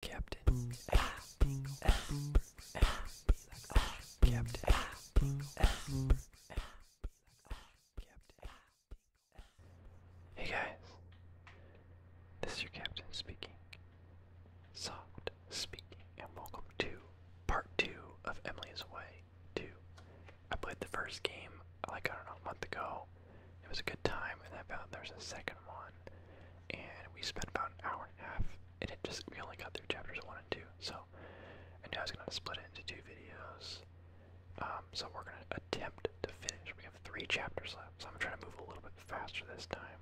Captain Hey guys, this is your captain speaking. Soft speaking, and welcome to part two of Emily's Way 2. I played the first game like I don't know a month ago. It was a good time, and I found there's a second one and we spent about an hour and a half, and it just we only got through chapters one and two. So I knew I was gonna split it into two videos. Um, so we're gonna attempt to finish. We have three chapters left, so I'm trying to move a little bit faster this time.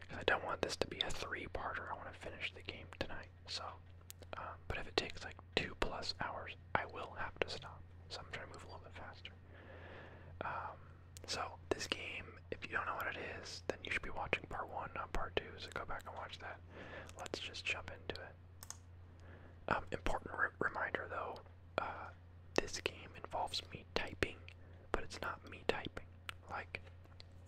Because I don't want this to be a three-parter. I want to finish the game tonight. So, um, but if it takes like two plus hours, I will have to stop. So I'm trying to move a little bit faster. Um, so this game, if you don't know what it is, then you should be watching part one, not part two. So go back and watch that. Let's just jump into it. Um, important reminder though, uh, this game involves me typing, but it's not me typing. Like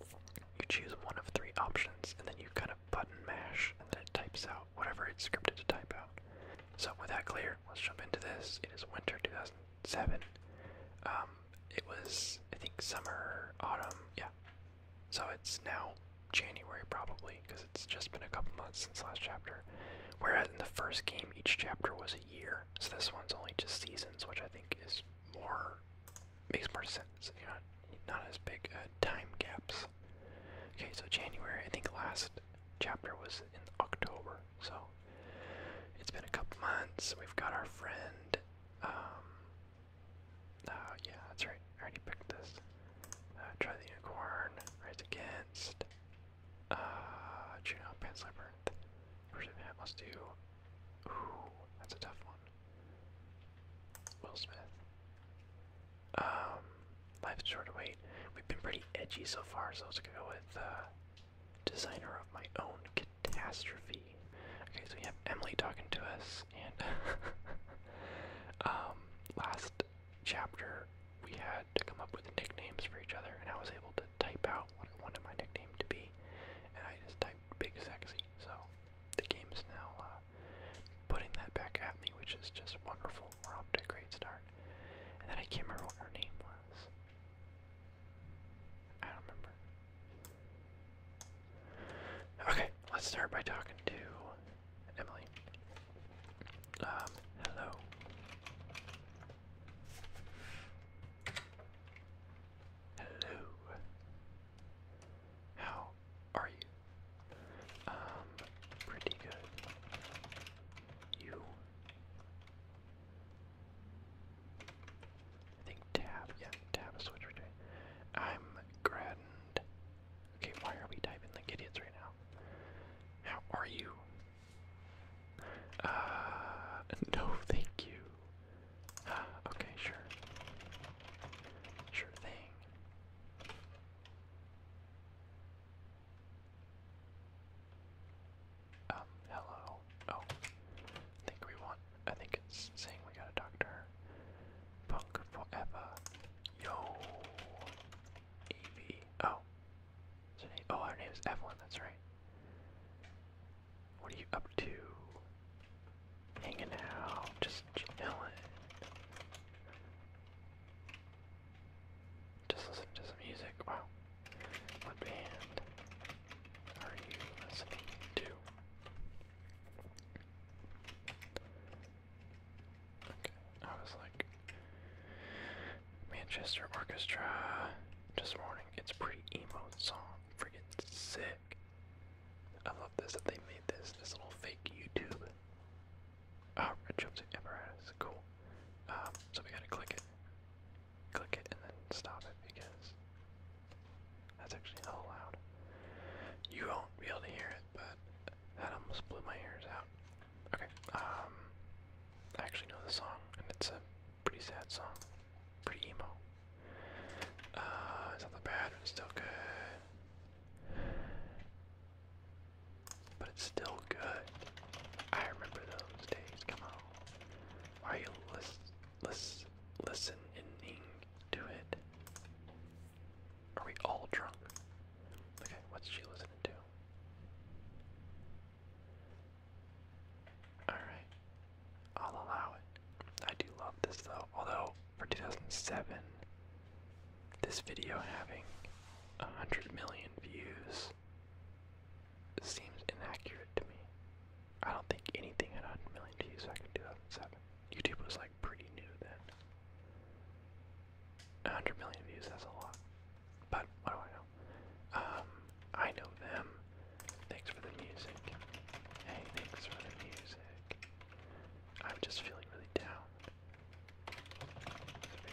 you choose one of three options, and then you kind of button mash, and then it types out whatever it's scripted to type out. So with that clear, let's jump into this. It is winter 2000 seven. Um, it was I think summer, autumn, yeah. So it's now January probably because it's just been a couple months since last chapter. Whereas in the first game, each chapter was a year, so this one's only just seasons, which I think is more makes more sense. You know, not as big uh, time gaps. Okay, so January. I think last chapter was in October, so it's been a couple months. We've got our friend. oh, yeah, that's right. I already picked this. Uh, try the unicorn. Right against. Uh, Juno, Pants Labyrinth. Version Hat must do. Ooh, that's a tough one. Will Smith. Um, Life's Short to Wait. We've been pretty edgy so far, so let's go with uh, designer of my own catastrophe. Okay, so we have Emily talking to us, and um, last chapter we had to come up with nicknames for each other, and I was able to type out what I wanted my nickname to be, and I just typed Big Sexy, so the game's now uh, putting that back at me, which is just wonderful. We're off to a great start. And then I can't remember what her name was. I don't remember. Okay, let's start by talking to Emily. Um, hello. Hello. How are you? Um, pretty good. You? I think tab, yeah, tab is I'm grand. Okay, why are we typing the idiots right now? How are you? Uh, no, thank you. Uh, okay, sure. Sure thing. Um, hello. Oh. I think we want I think it's saying we gotta talk Punk forever. Yo Evie. Oh. name? Oh, her name is Evelyn, that's right. What are you up to? Hanging out, just chilling. Just listen to some music. Wow. What band? are you listening to? I was like, Manchester Orchestra. Just warning, it's pretty emo song. Freaking sick. I love this that they made this. This little fake YouTube. Oh, red jumpsuit apparatus. Cool. Um, so we gotta click it click it and then stop it because that's actually hell loud. You won't be able to hear it, but that almost blew my ears out. Okay, um, I actually know the song, and it's a pretty sad song, pretty emo. Uh, it's not bad, it's still good. But it's still good. I remember those days, come on. Why are you lis lis listening to it? Are we all drunk? Okay, what's she listening to? Alright, I'll allow it. I do love this though, although for 2007, this video having 100 million views seems inaccurate to me. I don't think anything at 100 million views back in 2007. YouTube was like pretty new then. 100 million views, that's a lot. But what do I know? Um, I know them. Thanks for the music. Hey, thanks for the music. I'm just feeling really down.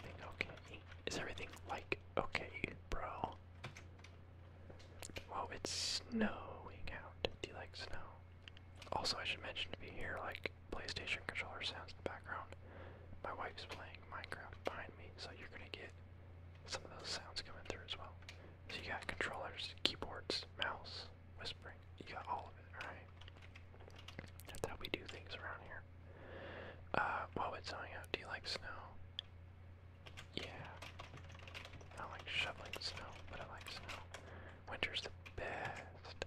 Is everything okay? Is everything like okay, bro? Whoa, it's snowing out. Do you like snow? Also, I should mention to be here, like PlayStation controller sounds in the background, my wife's playing Minecraft behind me, so you're gonna get some of those sounds coming through as well. So you got controllers, keyboards, mouse, whispering. You got all of it, alright? That's how we do things around here. Uh, whoa, it's snowing out. Do you like snow? Yeah. I like shoveling snow, but I like snow. Winter's the best.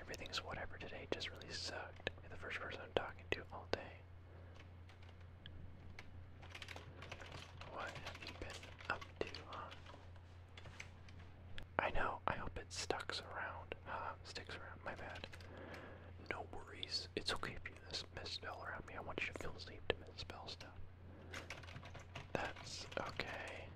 Everything's whatever today just really sucked. the first person I'm talking to all day. What have you been up to, I know, I hope it stucks around. Uh, sticks around, my bad. No worries it's okay if you misspell around me. I want you to feel safe to misspell stuff. That's okay.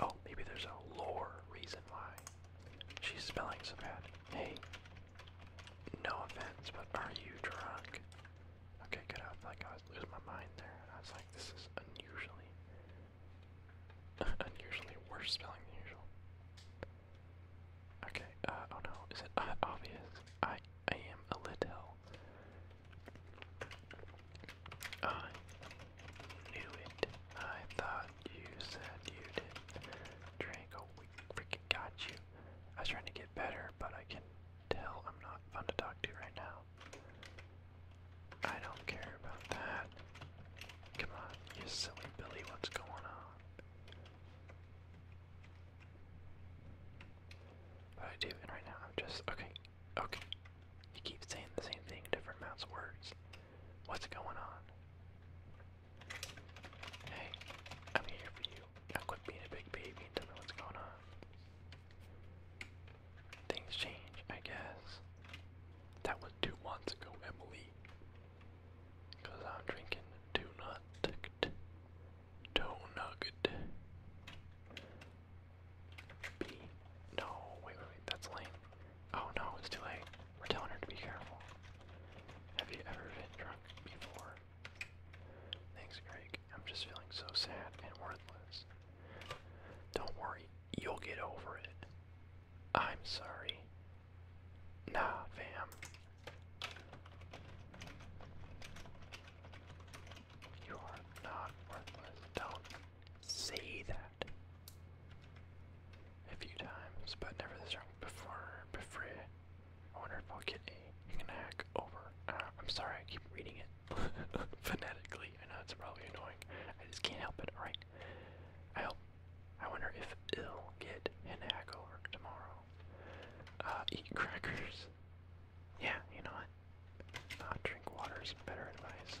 Oh, maybe there's a lore reason why she's spelling so bad. Hey, no offense, but are you drunk? Okay, good. I felt I was losing my mind there, and I was like, this is unusually, unusually worse spelling than usual. Okay, uh, oh no, is it uh, obvious? I, I am a little. I knew it. I thought you said you did. Draco, we freaking got you. I was trying to get better, but I can tell I'm not fun to talk to right now. I don't care about that. Come on, you silly Billy, what's going on? But I do, and right now I'm just okay, okay. You keep saying the same thing, different amounts of words. What's going on? Hey, I'm here for you. Now quit being a big baby and tell me what's going on. Things change, I guess. That was two months ago, Emily. Cause I'm drinking do not nugget. B. No, wait, wait, wait, that's lame. Oh no, it's too late. We're telling her to be careful. Have you ever been drunk before? Thanks, Greg. I'm just feeling so sad and worthless. Don't worry, you'll get over it. I'm sorry. Nah, fam. You are not worthless. Don't say that. A few times, but never this wrong before. Before. I wonder if I'll get a knack over. Uh, I'm sorry, I keep reading it phonetically. I know it's probably annoying. I just can't help it. All right. I hope I wonder if it'll get an to work tomorrow. Uh, eat crackers. Yeah, you know what? Uh, drink water is better advice.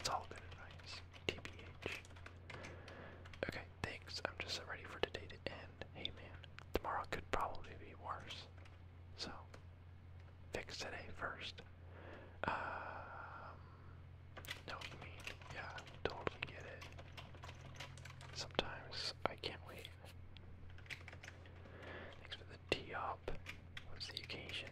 It's all good advice. TBH. Okay, thanks. I'm just ready for today to end. Hey man, tomorrow could probably be worse. So, fix today first. Um, know what I Yeah, totally get it. Sometimes I can't wait. Thanks for the tee up. What's the occasion?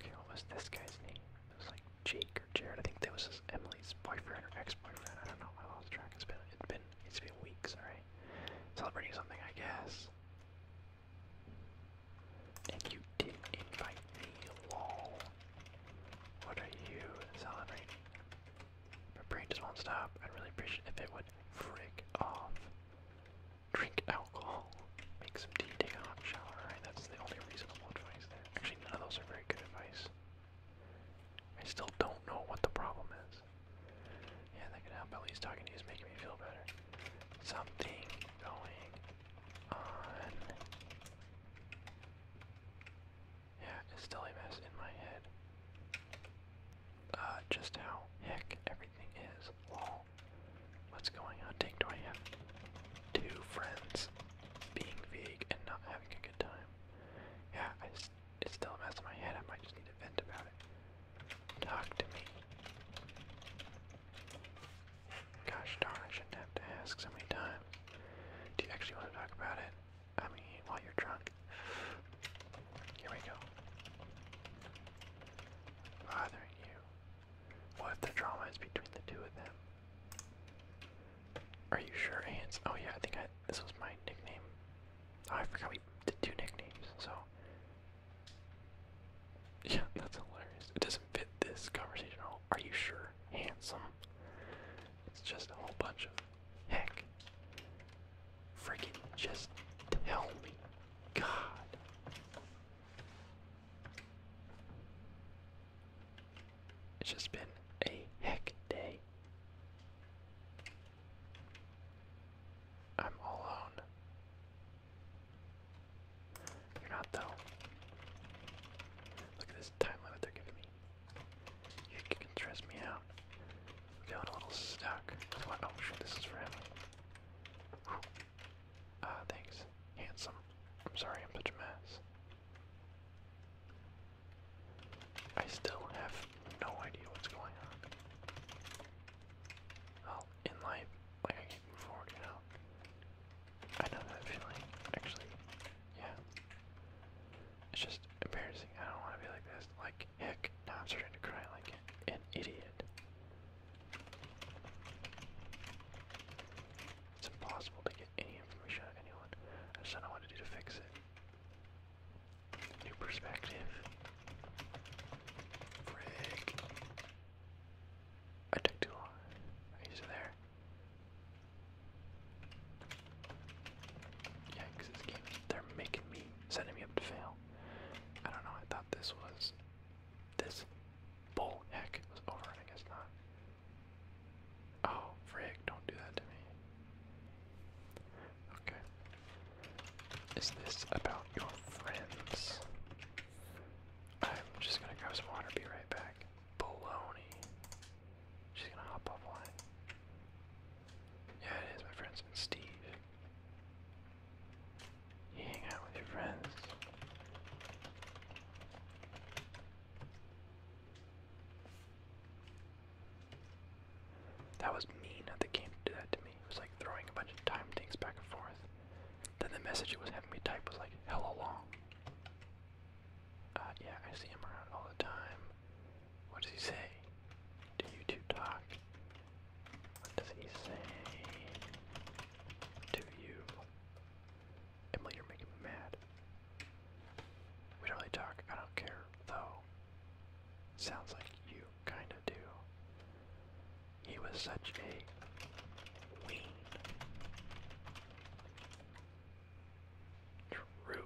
Okay, what this guy's name? It was like Jake or Jared. I think that was Emily's boyfriend or ex-boyfriend. I don't know. I lost track. It's been it's been it's been weeks. All right, celebrating something, I guess. And you didn't invite me, lol. What are you celebrating? My brain just won't stop. I'd really appreciate if it would frick off. Drink alcohol. Make some tea, take a hot shower, right? That's the only reasonable advice there. Actually, none of those are very good advice. I still don't know what the problem is. Yeah, that could help. At least talking to you is making me feel better. Something going yeah, it's still a mess in my head. Uh, just how heck everything is. Lol. What's going on? Dang, do I have two friends being vague and not having a good time? Yeah, I it's still a mess in my head. I might just need to vent about it. Talk to me. Gosh darn, I shouldn't have to ask so many times. Do you actually want to talk about it? I mean, while you're drunk. Here we go. Bothering you. What the drama is between the two of them? Are you sure, Ants? Oh yeah, I think I, this was my nickname. Oh, I forgot we did two nicknames, so yeah, that's hilarious. It doesn't fit this conversation at all. Are you sure? Handsome. It's just a whole bunch of heck. Freaking just tell me. God. It's just been a heck day. I'm alone. You're not though. Look at this time they're giving me. You can stress me out. feeling a little stuck. Oh shoot, this is for him. Ah, thanks. Handsome. I'm sorry I'm such a mess. I still have no idea what's going on. Well, in life, I can move forward, you I know that feeling, actually. Yeah. It's just embarrassing. I don't want to be like this. Like, heck, now I'm starting to cry like an idiot. It's impossible to get any information out of anyone. I just don't know to do to fix it. New perspective. Frick. I took too long. He's there. Yeah, they're making me, setting me up to fail. I don't know, I thought this was, this bull heck was over, I guess not. Oh, frig, don't do that to me. Okay. Is this about your friends? I'm just gonna grab some water, be right back. Baloney. She's gonna hop offline. Yeah, it is, my friends. Steve. You hang out with your friends. That was mean of the game to that to me. It was like throwing a bunch of time things back and forth. Then the message it was having me type was like, hella long. Uh, yeah, I see him around all the time. What does he say? Do you two talk? What does he say? To you. Emily, you're making me mad. We don't really talk. I don't care, though. Sounds like you kinda do. He was such a True.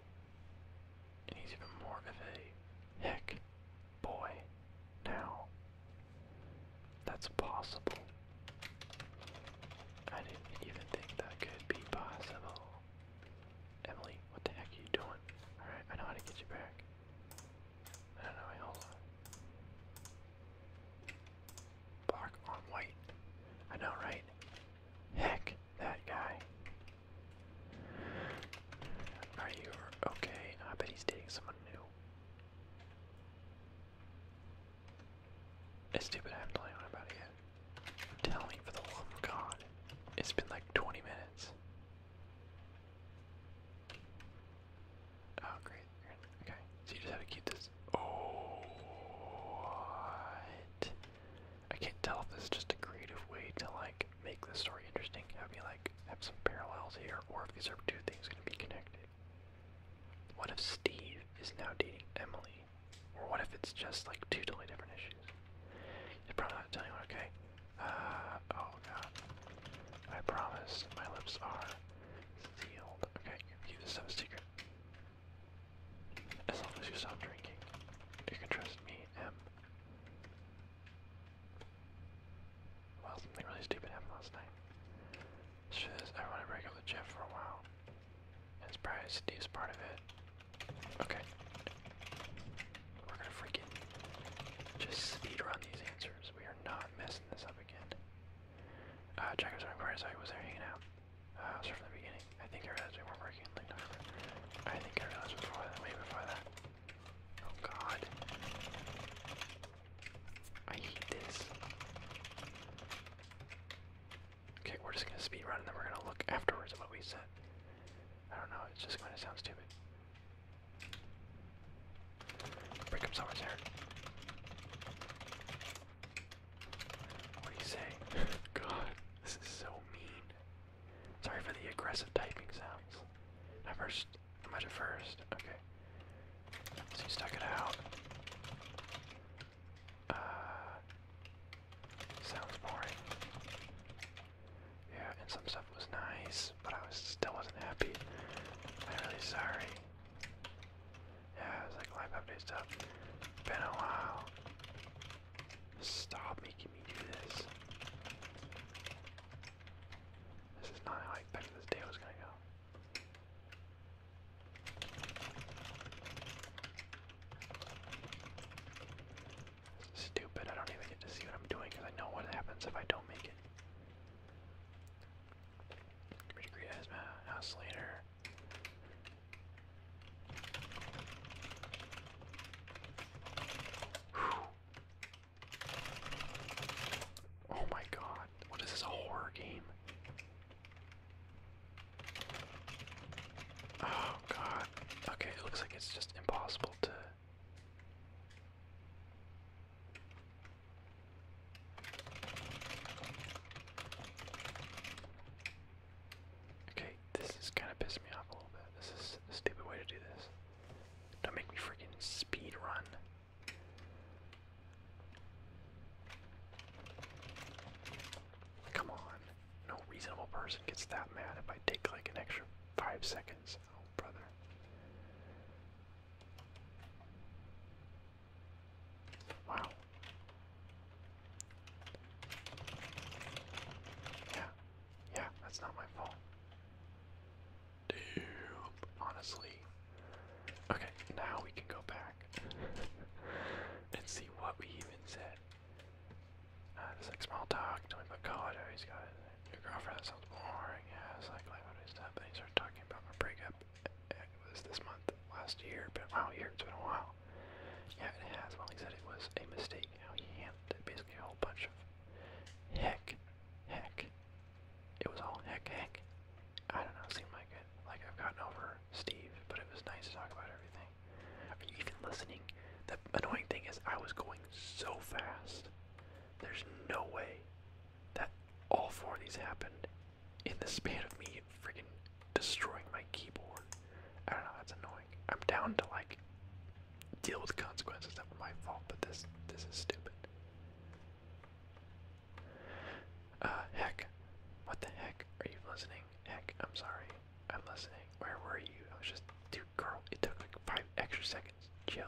he's even more of a heck boy now. That's possible. I didn't even think that could be possible. Emily, what the heck are you doing? Alright, I know how to get you back. I don't know, Black on white. I know, right? Heck, that guy. Are you okay? I bet he's dating someone new. It's stupid I haven't told anyone about it yet. Tell me for the love of God. It's been like 20 minutes. Oh, great okay. So you just have to keep this. Oh, what? I can't tell if this is just a creative way to like make the story interesting. Have me like have some parallels here, or if these are two things gonna be connected. What if Steve is now dating Emily? Or what if it's just like two totally different issues? It's probably not telling you, okay? Uh, oh god. I promise my lips are Okay, keep this stuff a secret. As long as you stop drinking, you can trust me, M. Well, something really stupid happened last night. She says I want to Jeff for a while. And it's probably part of it. Okay. We're gonna freaking just speed run these answers. We are not messing this up again. Uh, Jackers are inquired, so I was there hanging out. Uh, from the beginning. I think I realized we weren't working I think I realized before that. Oh god. I hate this. Okay, we're just gonna speed run and then we're gonna look afterwards at what we said. I don't know, it's just gonna sound stupid. Break up someone's hair. What do you say? God, this is so mean. Sorry for the aggressive typing sounds. first. Am I the first? Okay. So you stuck it out. Uh, sounds boring. Yeah, and some stuff was nice, but I still wasn't happy. I'm really sorry. Yeah, it's like live update stuff. Been a while. Stop making me do this. This is not how I this day was gonna go. Stupid, I don't even get to see what I'm doing because I know what happens if I don't make it. Pretty great as house later. Oh my god, what is this a horror game? Oh god. Okay, it looks like it's just impossible to Okay, this is kind of pissing me off a little bit. This is stupid way to do this. Don't make me freaking speed run. Come on. No reasonable person gets that mad if I take like an extra five seconds. Oh, brother. Wow. Yeah. Yeah, that's not my fault. Damn. Honestly. Okay, now we can go back and see what we even said. Uh, like small talk, tell me he's got a new girlfriend, sounds boring, yeah, it's like, like what is that? Then he started talking about my breakup it was this month last year, but wow, here it's been a while. Yeah, it has. Well, he said it was a mistake how he handled it. Basically, a whole bunch of heck, heck. It was all heck, heck. I don't know. It like it. Like I've gotten over Steve, but it was nice to talk about everything. Are you even listening? The annoying thing is, I was going so fast. There's no way that all four of these happened in the span of me freaking destroying my keyboard. I don't know, that's annoying. I'm down to like deal with consequences that were my fault, but this this is stupid. Uh heck. What the heck? Are you listening? Heck, I'm sorry. I'm listening. Where were you? I was just dude girl, it took like five extra seconds. Chill.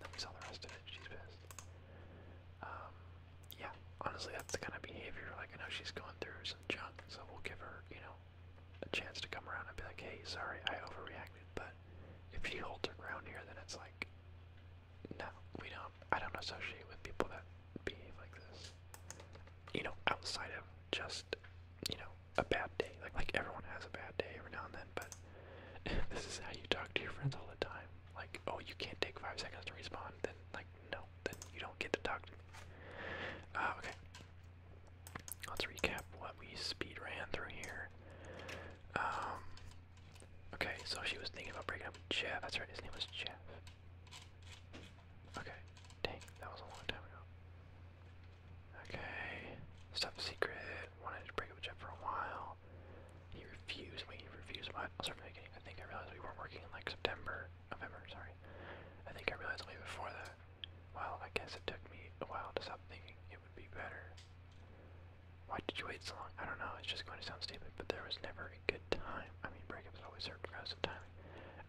Let me sell the rest of it. She's pissed. Um, yeah, honestly, that's the kind of behavior. Like, I know she's going through some junk, so we'll give her, you know, a chance to come around and be like, hey, sorry, I overreacted. But if she holds her ground here, then it's like, no, we don't. I don't associate with people that behave like this. You know, outside of just, you know, a bad day. Like, like everyone has a bad day every now and then, but this is how you talk to your friends all the time like, oh, you can't take five seconds to respawn, then, like, no, then you don't get to talk ah, okay. Let's recap what we speed ran through here. Um, okay, so she was thinking about breaking up with Jeff. That's right, his name was Jeff. Okay, dang, that was a long time ago. Okay, stuff secret. Wanted to break up with Jeff for a while. He refused. Wait, he refused. Well, I'll start from the I think I realized we weren't working in like September, November. Sorry. I think I realized way before that. Well, I guess it took me a while to stop thinking it would be better. Why did you wait so long? I don't know. It's just going to sound stupid, but there was never a good time. I mean, breakups always hurt served of timing.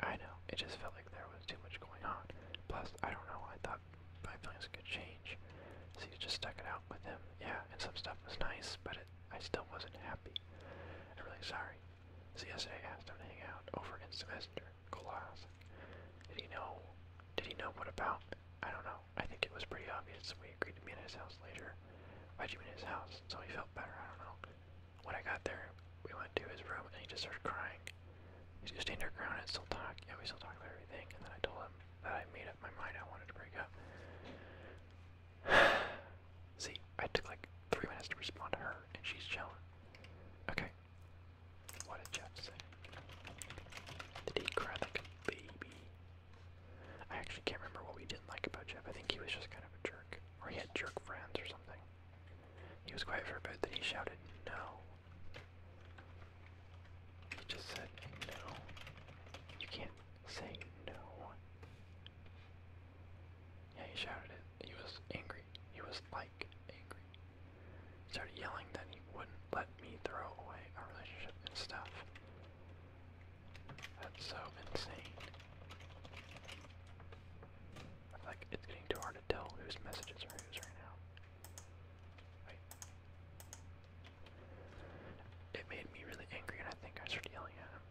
I know. It just felt like there was too much going on. Plus, I don't know. I thought my feelings good change. So you just stuck it out with him. Yeah, and some stuff was nice, but I still wasn't happy. I'm really sorry. So yesterday, I asked him to hang out over in semester. Class. Did he know? Did he know what about? I don't know. I think it was pretty obvious. We agreed to meet at his house later. I would him meet at his house? So he felt better. I don't know. When I got there, we went to his room and he just started crying. He's just stayed underground and still talked. and we still talked about everything. And then I told him that I made up my mind I wanted to break up. See, I took like three minutes to respond to her, and she's chilling. Okay. What did Jeff say? Did he cry baby? I actually can't remember what we didn't like about Jeff. I think he was just kind of a jerk. Or he had jerk friends or something. He was quiet for a bit, then he shouted, No. He just said, No. You can't Say no. Yeah, he shouted it. He was angry. He was like angry. He started yelling that he wouldn't let me throw away our relationship and stuff. That's so insane. Like, it's getting too hard to tell whose messages are whose right now. Wait. It made me really angry, and I think I started yelling at him.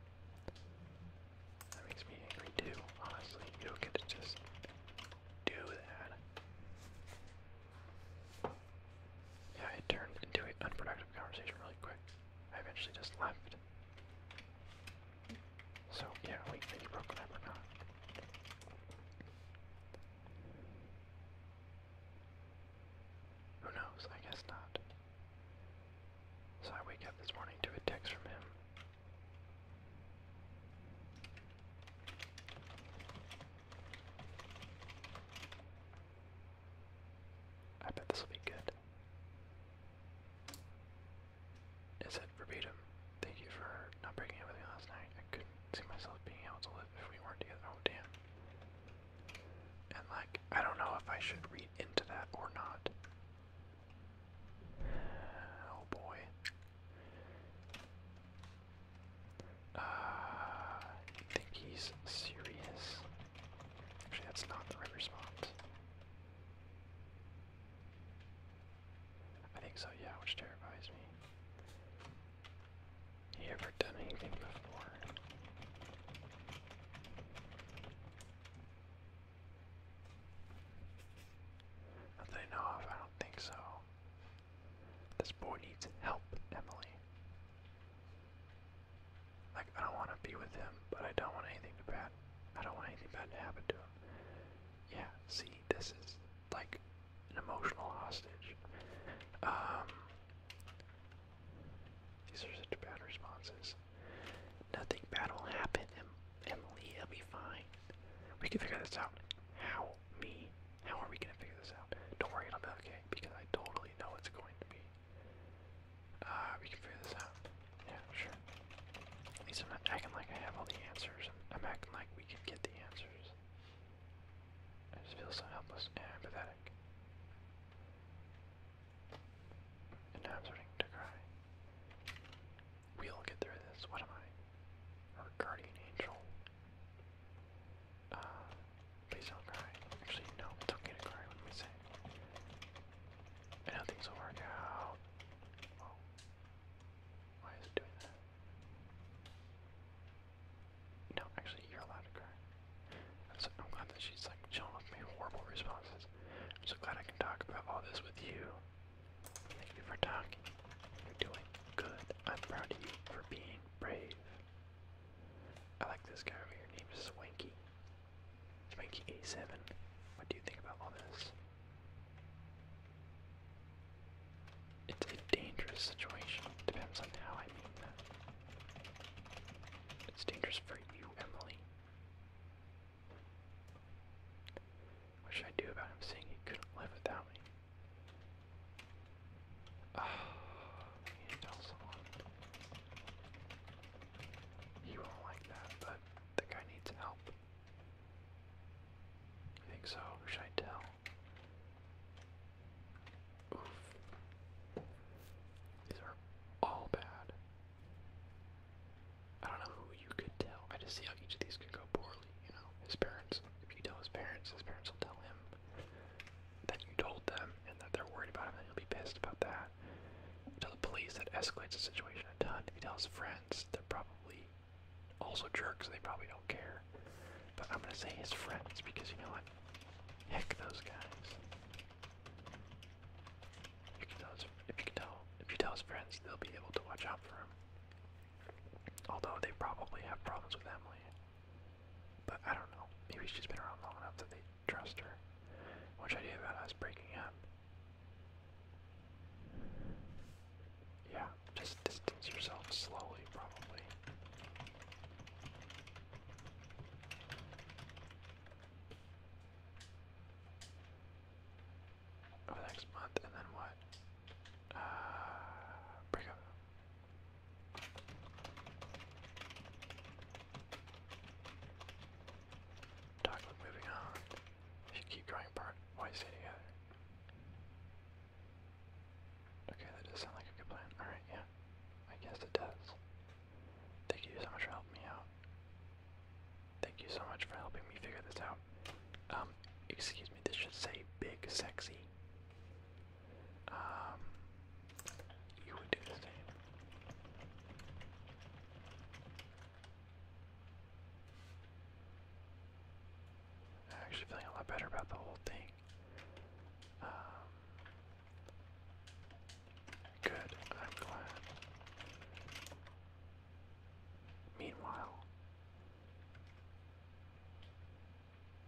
That makes me angry too, honestly. You don't get to just do that. Yeah, it turned into an unproductive conversation really quick. I eventually just left. So, yeah, we maybe broke up or not. Who knows? I guess not. So I wake up this morning to a text from him. I bet this will be good. It said verbatim, thank you for not breaking up last night. I couldn't see myself being able to live if we weren't together. Oh, damn. And, like, I don't know if I should read into that or not. Oh boy. I uh, think he's serious. Actually, that's not the right response. I think so, yeah, which terrifies me. He ever done anything before? I don't think so. This boy needs help, Emily. Like, I don't want to be with him, but I don't want anything to bad. I don't want anything bad to happen to him. Yeah, see, this is like an emotional hostage. Um, these are such bad responses. Nothing bad will happen, Emily. will be fine. We can figure this out. How? Me? How are we gonna figure this out? Don't worry, it'll be okay because I totally know what's going to be. Uh, we can figure this out. Yeah, sure. At least I'm acting like I have all the answers. I'm acting like we can get the answers. I just feel so helpless and pathetic. And now I'm starting to cry. We'll get through this. What am I? Her guardian angel. Uh, please don't cry. Actually, no, it's okay to cry. What am I I know things will work out. Oh. Why is it doing that? No, actually, you're allowed to cry. I'm so glad that she's like chilling with me. Horrible responses. I'm so glad I can talk about all this with you. Thank you for talking. You're doing good. I'm proud of you for being brave. I like this guy over here. named Swanky. Swanky A7. What do you think about all this? It's a dangerous situation. Depends on how I mean that. It's dangerous for you, Emily. What should I do about him saying he couldn't live without me? Oh, tell someone. You won't like that, but the guy needs help. I think so. should I tell? These are all bad. I don't know who you could tell. I just see how each of these could go poorly, you know. His parents, if you tell his parents, his parents will tell him that you told them and that they're worried about him and he'll be pissed about that. Tell the police that escalates the situation a ton. If he tells friends, they're probably also jerks, they probably don't care. But I'm gonna say his friends because you know what? Heck those guys. If you tell his, if you tell, his friends, they'll be able to watch out for him. Although they probably have problems with Emily. But I don't know. Maybe she's been around long enough that they trust her. I do about us breaking up? Yeah, just distance yourself slowly, probably over next month, and then what? Uh, break up. Document moving on. If you keep drawing apart, why stay together? Okay, that does sound like a good plan. Alright, yeah. I guess it does. Thank you so much for helping me out. Thank you so much for helping me figure this out. Um, excuse me, this should say big sexy. Um, you would do the same. I'm actually feeling a lot better about the whole thing. Um, Good, I'm glad. Meanwhile,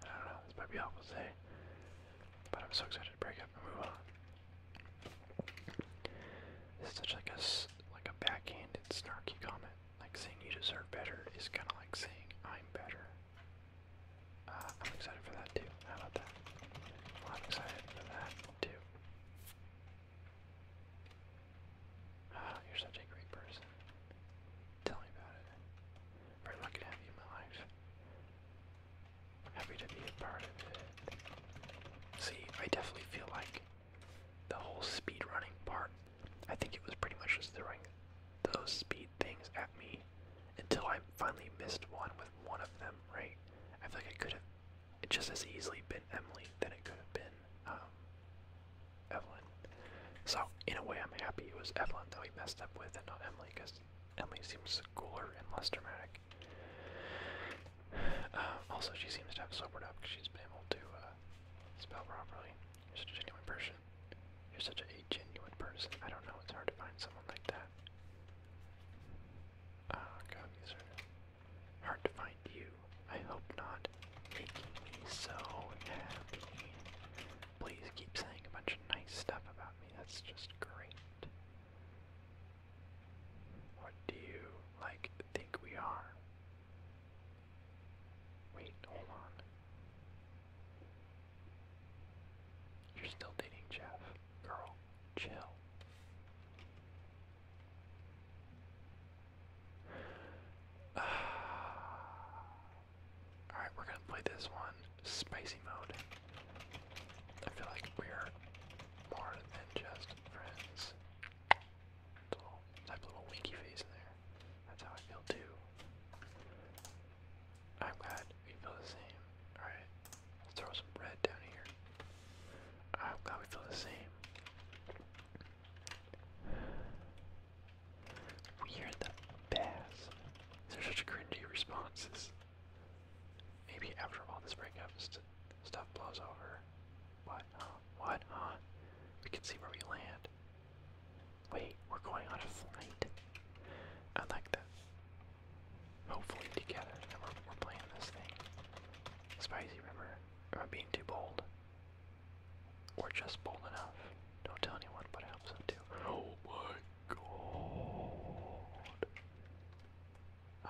I don't know, this might be awful to say, but I'm so excited to break up and move on. This such like a, like a backhanded, snarky comment. Like saying you deserve better is kind of like saying I'm better. Uh, I'm excited for that too. How about that? I'm excited for that too. Uh, you're such a great person. Tell me about it. Very lucky to have you in my life. Happy to be a part of it. See, I definitely feel like the whole speed running part. I think it was pretty much just throwing those speed things at me until I finally missed one with one of them, right? I feel like it could have just as easily been Emily than it could have been um, Evelyn. So in a way, I'm happy it was Evelyn that we messed up with, and not Emily, because Emily seems cooler and less dramatic. Um, also, she seems to have sobered up because she's been able to uh, spell properly. You're such a genuine person. You're such a genuine person. I don't know. It's hard to find someone like that. Oh god, these hard to find you. I hope not. Making me so happy. Please keep saying a bunch of nice stuff about me. That's just great. What do you like think we are? Wait, hold on. You're still dating Jeff, girl chill. Uh, Alright, we're gonna play this one spicy mode. I feel like we're more than just friends. Little, type little winky face in there. That's how I feel too. I'm glad we feel the same. Alright. Let's throw some bread down here. I'm glad we feel the same. We're the best. These are such cringy responses. Maybe after all this breakup, stuff blows over. What, What, We can see where we land. Wait, we're going on a flight. I like that hopefully together. we're, playing this thing. Spicy, River Am I being too bold? Or just bold enough? Don't tell anyone, but I hope so too. Oh my god.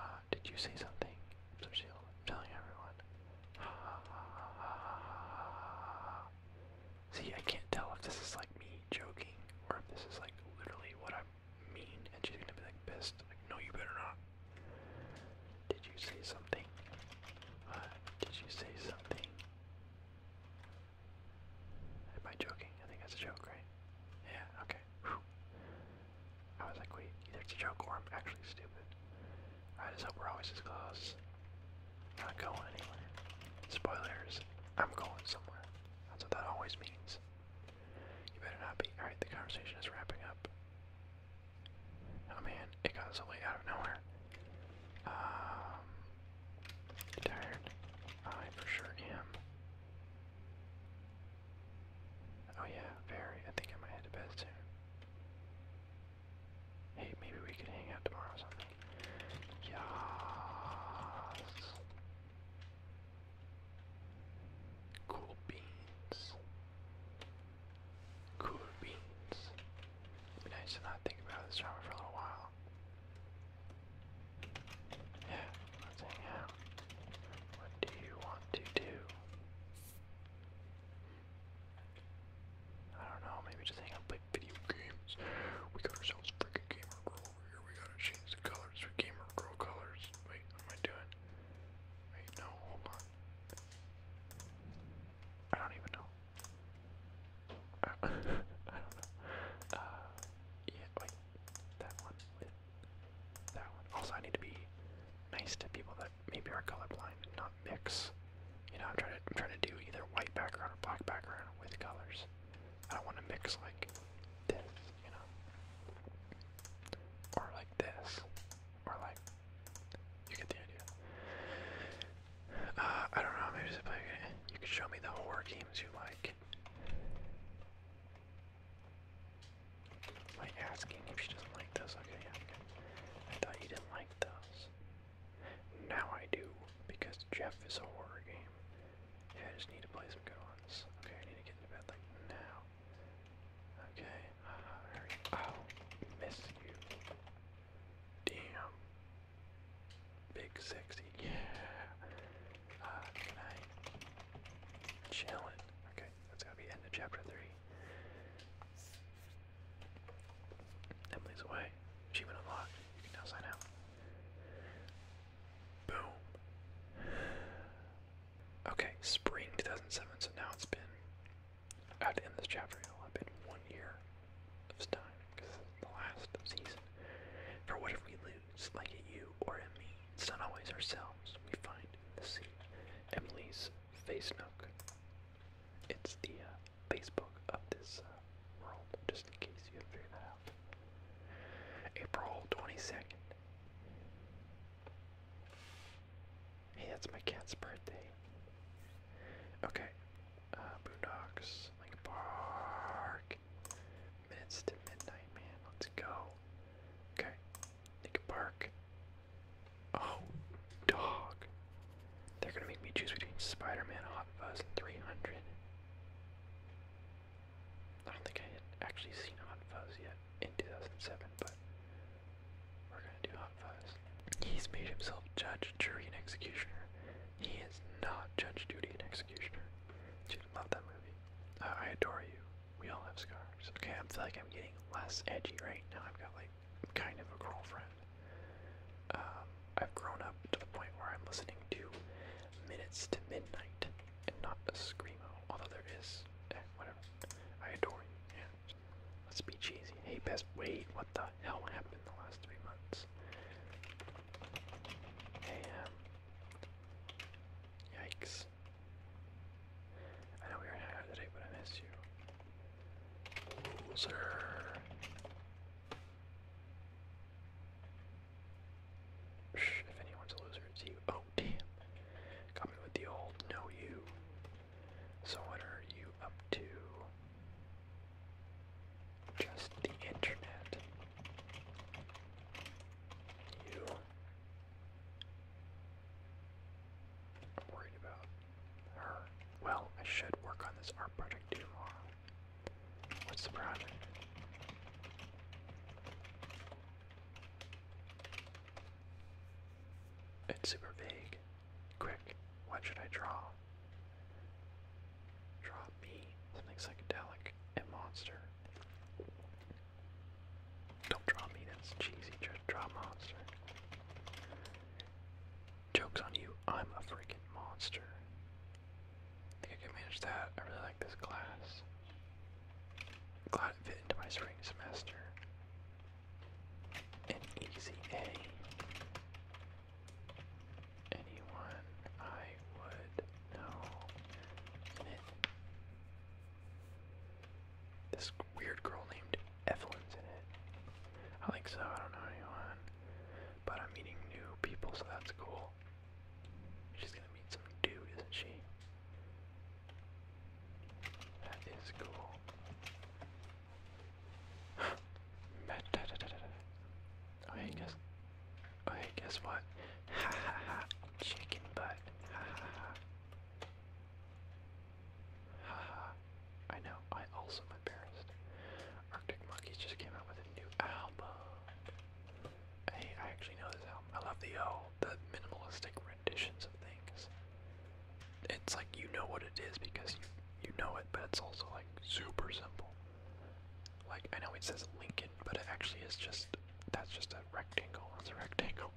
Uh, did you say something? I'm telling everyone. See, I can't tell if this is like me joking or if this is like literally what I'm mean and she's gonna be like pissed. no, you better not. Did you say something? Uh, did you say something? Am I joking? I think that's a joke, right? Yeah, okay. I was like, wait, either it's a joke or I'm actually stupid. I just hope we're always as close. Not going anywhere. Spoilers, I'm going somewhere. That's what that always means. You better not be. Alright, the conversation is wrapping up. Oh man, it got so late out of nowhere. Um, tired? I for sure am. Oh yeah, very. I think I might head to bed soon. Hey, maybe we could hang out tomorrow or something. Yes. Cool beans. Cool beans. It'd be nice to not think about this drama for a little while. Yeah, What do you want to do? I don't know, maybe just hang out play video games. We got ourselves a freaking gamer here we gotta change the colors for gamer girl colors. Wait, what am I doing? no, hold on. I don't even know. I don't, know. Uh, yeah, wait, that one that one. Also, I need to be nice to people that maybe are colorblind and not mix. You know, I'm trying to I'm trying to do either white background or black background with colors. I don't want to mix like this, you know, or like this, or like you get the idea. Uh, I don't know. Maybe You could show me the horror games you like. Am asking if she doesn't like those? Okay, I thought you didn't like those. Now I do, because Jeff is a horror game. Yeah, I just need to play some good ones. Okay, I need to get into bed like now. Okay, uh, hurry. Oh, miss you. Damn. Big sexy. Yeah. Uh, can I Okay, that's gotta be end of chapter three. Emily's away. Achievement unlocked. You can now out. Boom. Okay, spring 2007, so now it's been, I have to end this chapter, it'll have been one year of time, because it's the last season. For what if we lose, like at you or at me? It's not always ourselves we find in the sea. Emily's face nook. It's the uh, Facebook of this uh, world, just in case you have that out. April 22nd, Hey, that's my cat's birthday. Okay. Uh, boondocks, like a park. Minutes to midnight, man. Let's go. Okay. Lincoln Park. Oh, dog. They're gonna make me choose between Spider-Man, Hot Fuzz, and 300. I don't think I had actually seen Hot Fuzz yet in 2007, but we're gonna do Hot Fuzz. He's made himself judge, jury, and executioner. He is not Judge jury, and Executioner. Dude, love that movie. Uh, I adore you. We all have scars. Okay, I feel like I'm getting less edgy right now. I've got like kind of a girlfriend. Um, I've grown up to the point where I'm listening to Minutes to Midnight and not a screamo. Although there is, eh, whatever. I adore you. Yeah. Let's be cheesy. Hey, best wait. What the hell happened in the last three months? Hey, yikes. I know we were hanging out today, but I miss you. Loser if anyone's a loser, it's you. Oh, damn. Coming with the old no you. So what are you up to? Just the internet. You. worried about her. Well, I should work on this art project tomorrow. What's the project? It's super vague. Quick, what should I draw? Draw me something psychedelic and monster. Don't draw me, that's cheesy. Just draw monster. Joke's on you, I'm a freaking monster. think I can manage that. I really like this class. Glad it fit into my spring semester. An easy A. Anyone I would know in it. This weird girl named Evelyn's in it. I think so, I don't know anyone. But I'm meeting new people, so that's cool. She's gonna meet some dude, isn't she? That is cool. oh hey, guess. Oh hey, guess what? Ha ha ha! Chicken butt. Ha ha ha. Haha. I know. I also embarrassed. Arctic Monkeys just came out with a new album. Hey, I actually know this album. I love the oh, the minimalistic renditions of things. It's like you know what it is because you you know it, but it's also like super simple. Like I know it says Lincoln, but it actually is just that's just a rectangle. It's a rectangle.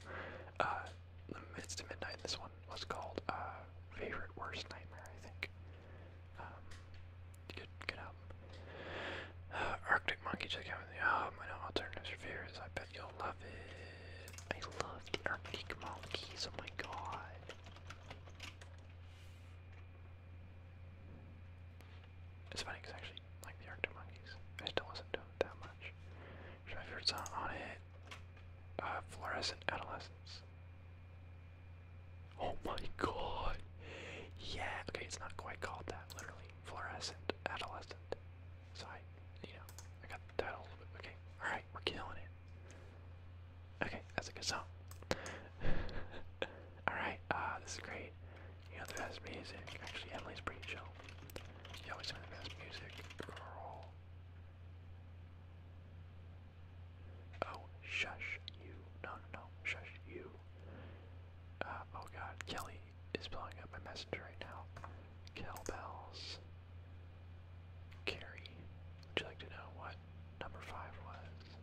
Uh, the Midst of Midnight. This one was called uh, Favorite Worst Nightmare, I think. Um, good, good uh, Arctic Monkey, check out the um, I know alternatives reviews. I bet you'll love it. I love the Arctic Monkeys. Oh my god. It's funny because I actually like the Arctic Monkeys. I just don't listen to them that much. Should I favorite song on it? Uh, Fluorescent Adolescence. Oh my god. Yeah, okay, it's not quite called that, literally. Fluorescent Adolescent. So I, I got that a Okay, alright, we're killing it. Okay, that's a good song. alright, uh, ah, this is great. You know, the best music. Actually, Emily's pretty chill. You always have the best music, girl. Oh, shush you. No, no, no. Shush you. Uh, oh god. Kelly, is blowing up my messenger right now. Cowbells. Carrie, would you like to know what number five was?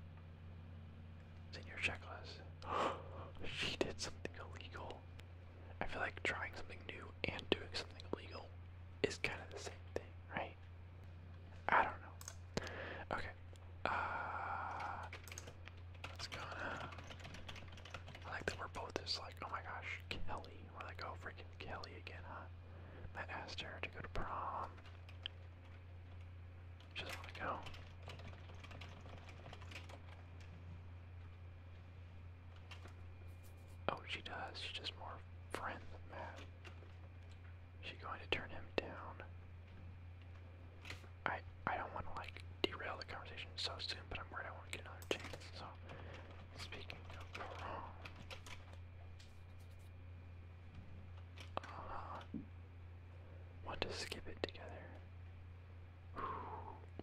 It's in your checklist. she did something illegal. I feel like trying something new and doing something illegal is kind of the same thing, right? I don't know. Okay. Uh, it's gonna. I like that we're both just like, oh my gosh, Kelly. Where they oh, go, freaking Kelly again, huh? Matt asked her to go to prom. She want to go. Oh, she does. She's just more friends with Matt. she going to turn him down? I I don't want to like derail the conversation so soon, but I'm worried I won't get another chance. So speaking of prom, want to skip it together?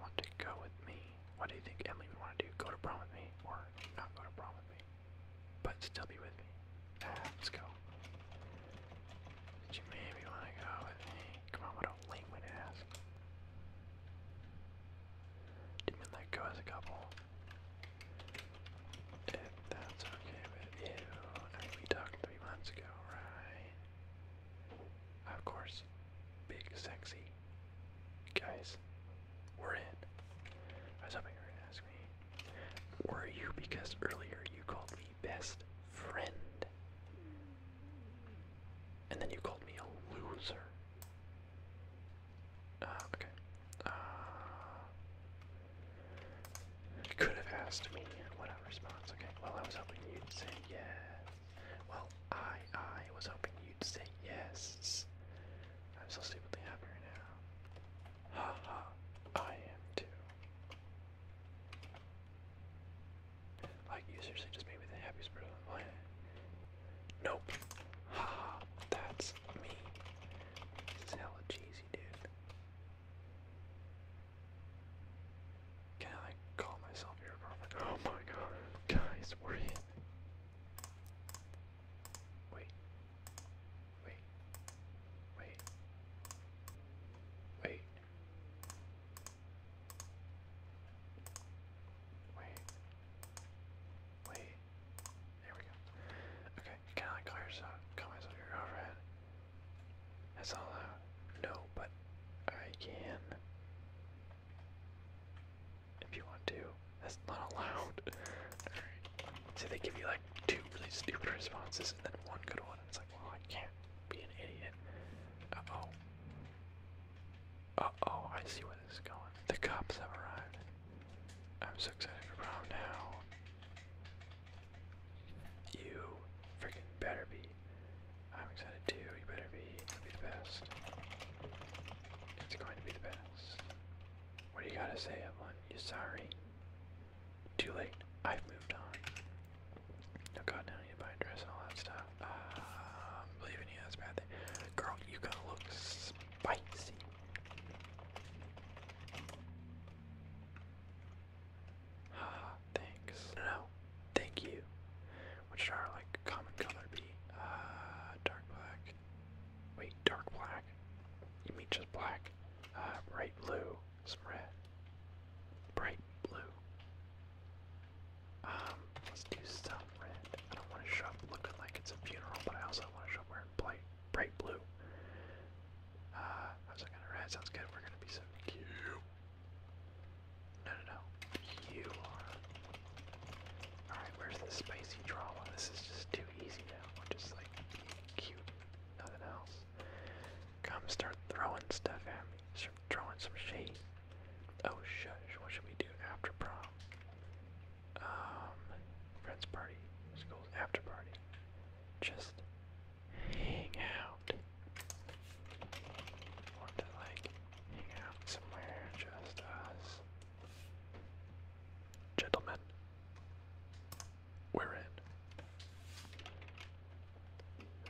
want to go with me? What do you think Emily would want to do? Go to prom with me, or not go to prom with me, but still be with me? Ah, let's go. you maybe want to go with me? Come on, lame way to ask. Didn't mean go as a couple. that's okay with I we talked three months ago, right? Of course. Big sexy. Guys, we're in. I was hoping you were gonna ask me. Were you because earlier you called me best friend? And then you called me a loser. Ah, okay. Ah. you could have asked me what response. Okay. Well, I was hoping you'd say yes. Well, I, I was hoping you'd say yes. I'm so stupidly happy right now. Ha ha. I am too. Like, you seriously just made me the happiest person on the planet. Nope. Haha, that's me. This is hella cheesy, dude. Can I call myself your prophet? Oh my god. Guys, we're in. Wait. Wait. Wait. Wait. Wait. Wait. There we go. Okay, kinda like call yourself comments of your girlfriend. That's all out. No, but I can. If you want to. That's not allowed. Alright. So they give you like two really stupid responses and then one good one. It's like, well I can't be an idiot. oh. Uh oh, I see where this is going. The cops have arrived. I'm so excited for prom now. You freaking better be. I'm excited too. You better be. It'll be the best. It's going to be the best. What do you gotta say, Evelyn? You sorry? Too late. I've moved on. Oh god, now I buy a dress and all that stuff. I'm um, believing you, that's bad thing. Girl, you gotta look spicy. Ah, thanks. No, thank you. What should our, like, common color be? Uh, dark black. Wait, dark black? You mean just black? Uh, bright blue, some red. Bright blue. Um, let's do some red. I don't want to show up looking like it's a funeral, but I also want to show up wearing bright, bright blue. Uh, I was like, red sounds good. We're gonna be so cute. No, no, no. You are. Alright, where's the spicy drama? This is just too easy now. We're just like cute, nothing else. Come start throwing stuff at me. Start throwing some shade. Oh shit! what should we do after prom? Um, friends party, school's after party. Just hang out. Want to like hang out somewhere, just us. Gentlemen, we're in.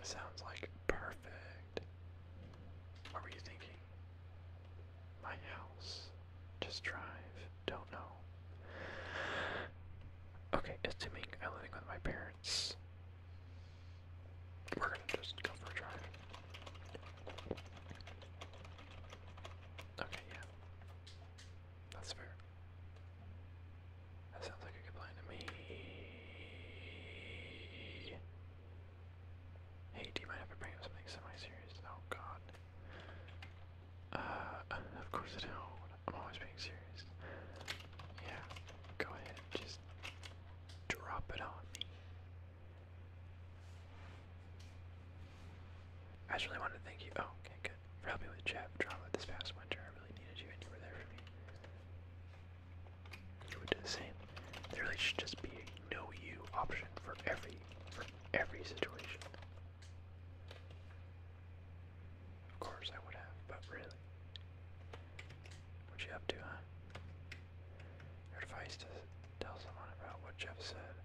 Sounds like perfect. What were you thinking? My house. Just drive. Don't know. Okay, assuming I'm living with my parents, we're gonna just go for a drive. Okay, yeah. That's fair. That sounds like a good plan to me. Hey, do you mind if I bring up something semi-serious? Oh god. Uh, of course I don't. I'm always being serious. Yeah, go ahead, just drop it on me. I really wanted to thank you. Oh, okay, good. For helping with Jeff drama this past winter. I really needed you and you were there for me it would do the same. There really should just be a no you option for every for every situation. Of course I would have, but really. What you up to, huh? Your advice to tell someone about what Jeff said.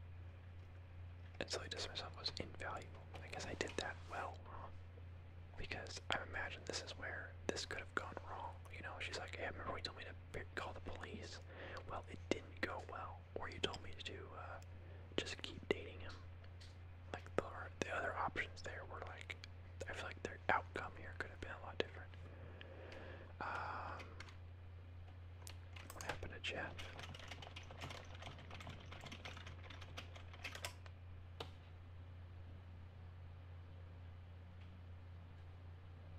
And so he dismissed myself was invaluable. I guess I did that well wrong. Because I imagine this is where this could have gone wrong. You know, she's like, I remember when you told me to call the police. Well, it didn't go well. Or you told me to uh, just keep dating him. Like, the, the other options there were like, I feel like their outcome here could have been a lot different. Um, what happened to Jeff?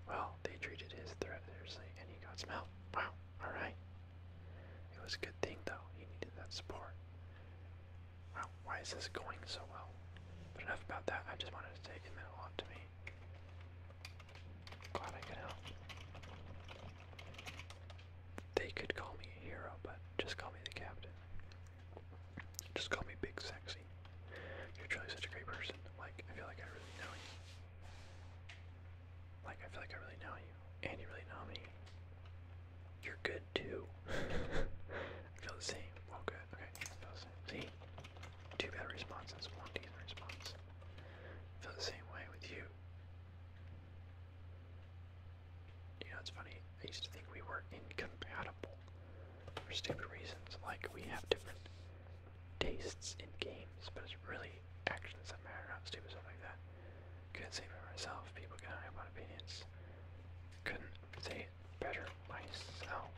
Well, they treated his threat seriously and he got smelled. Wow, alright. It was a good thing though, he needed that support. Wow, why is this going so well? But enough about that, I just wanted to say it meant a lot to me. Glad I could help. They could call me a hero, but just call me the captain. Just call me Big Sexy. You're truly such a great person. Like, I feel like I really know you. Like, I feel like I really know you. And you really know me. You're good too. I feel the same. Oh, Okay. I feel the same. See? Two bad responses, one decent response. feel the same way with you. You know, it's funny. I used to think we were incompatible for stupid reasons. Like we have different tastes in games, but it's really actions that matter, not stupid stuff like that. Couldn't say for myself. People can have my opinions. Couldn't say better myself.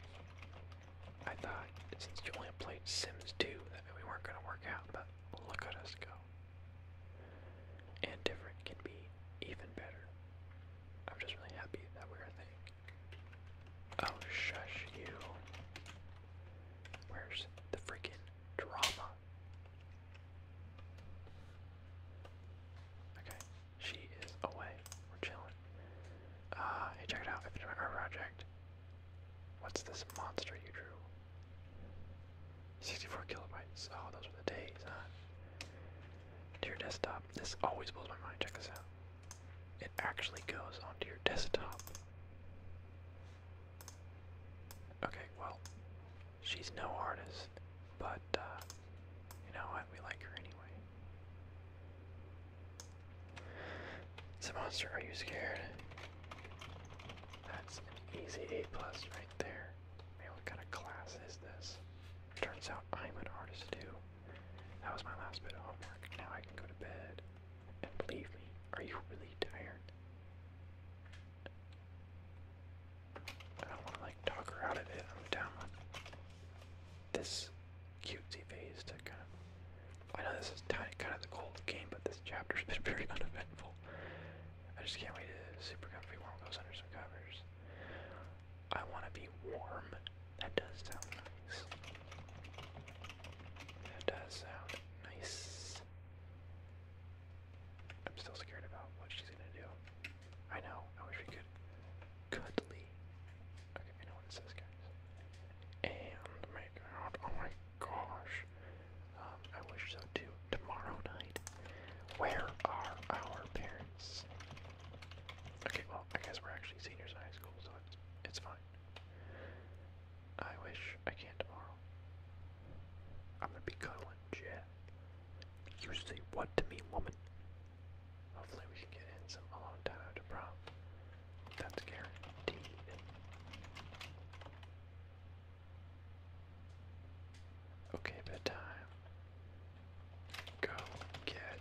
I thought since you only played Sims 2, that we weren't gonna work out, but look at us go. And different can be even better. I'm just really happy that we're a thing. Oh, shush you. Where's the freaking drama? Okay, she is away. We're chilling. Uh, hey, check it out. I finished my art project. What's this monster you drew? 64 kilobytes. Oh, those are the days, huh? your desktop, this always blows my mind. Check this out it actually goes onto your desktop. Okay, well, she's no artist, but uh, you know what? We like her anyway. It's a monster. Are you scared? That's an easy A plus right there. Man, what kind of class is this? Turns out I'm an artist too. That was my last bit of homework. Now I can go to bed. And believe me, are you really tired? I don't want to like talk her out of it. I'm down with this cutesy phase to kind of. I know this is kind of the cold game, but this chapter's been very uneventful. I just can't wait to Super Comfy warm goes under some covers. I want to be warm. That does sound nice. That does sound nice. I'm still scared about what she's gonna do. I know. I wish we could. Cuddly. Okay, I know what it guys. And oh make out. Oh my gosh. Um, I wish so too. Tomorrow night. Where are our parents? Okay, well, I guess we're actually seniors in high school, so it's, it's fine. I wish I can tomorrow. I'm gonna be cuddling Jet. You say what to me, woman? Hopefully we can get in some alone time after prom. That's guaranteed. Okay, bedtime. Go get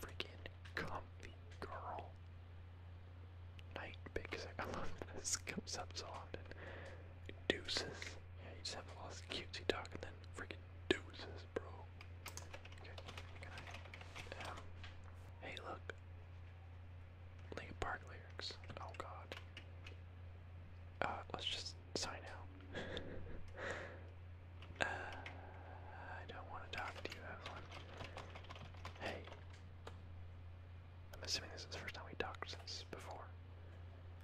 freaking comfy, girl. Night because I love this comes up so often. Deuces. Yeah, you just have all this cutesy talk and then freaking deuces, bro. Okay, um, hey, look. Linkin Park lyrics. Oh God. Uh, let's just sign out. I don't want to talk to Evelyn. Hey. I'm assuming this is the first time we talked since before.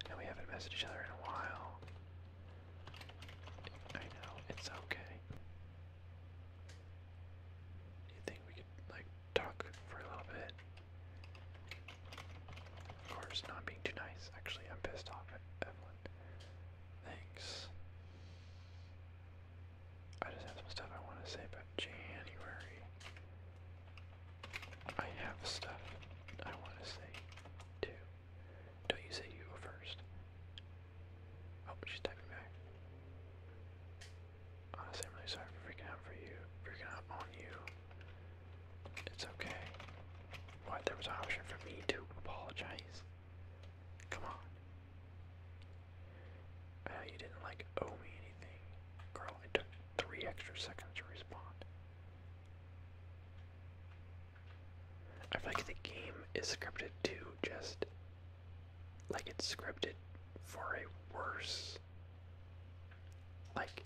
And we haven't messaged each other in a while. I know, it's okay. You think we could, like, talk for a little bit? Of course, not being too nice. Actually, I'm pissed off at Evelyn. Thanks. I just have some stuff I want to say about January. I have stuff I want to say too. Don't you say you go first. Oh, she's typing back. Honestly, I'm really sorry for freaking out for you, freaking out on you. It's okay. What? There was an option for me to apologize. Come on. Ah, you didn't like owe me anything. Girl, it took three extra seconds to respond. I feel like the game is scripted to just like it's scripted for a worse like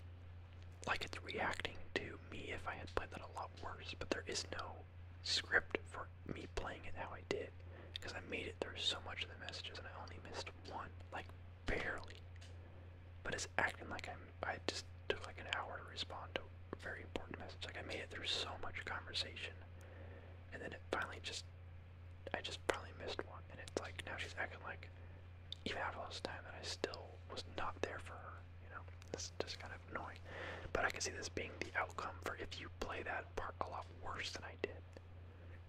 like it's reacting to me if I had played that a lot worse, but there is no script for me playing it how I did because I made it through so much of the messages and I only missed one, like barely. But it's acting like I'm. I just took like an hour to respond to very important messages. Like I made it through so much conversation, and then it finally just. I just finally missed one, and it's like now she's acting like, even after all this time, that I still was not there for her. You know, just kind of annoying. But I can see this being the outcome for if you play that part a lot worse than I did.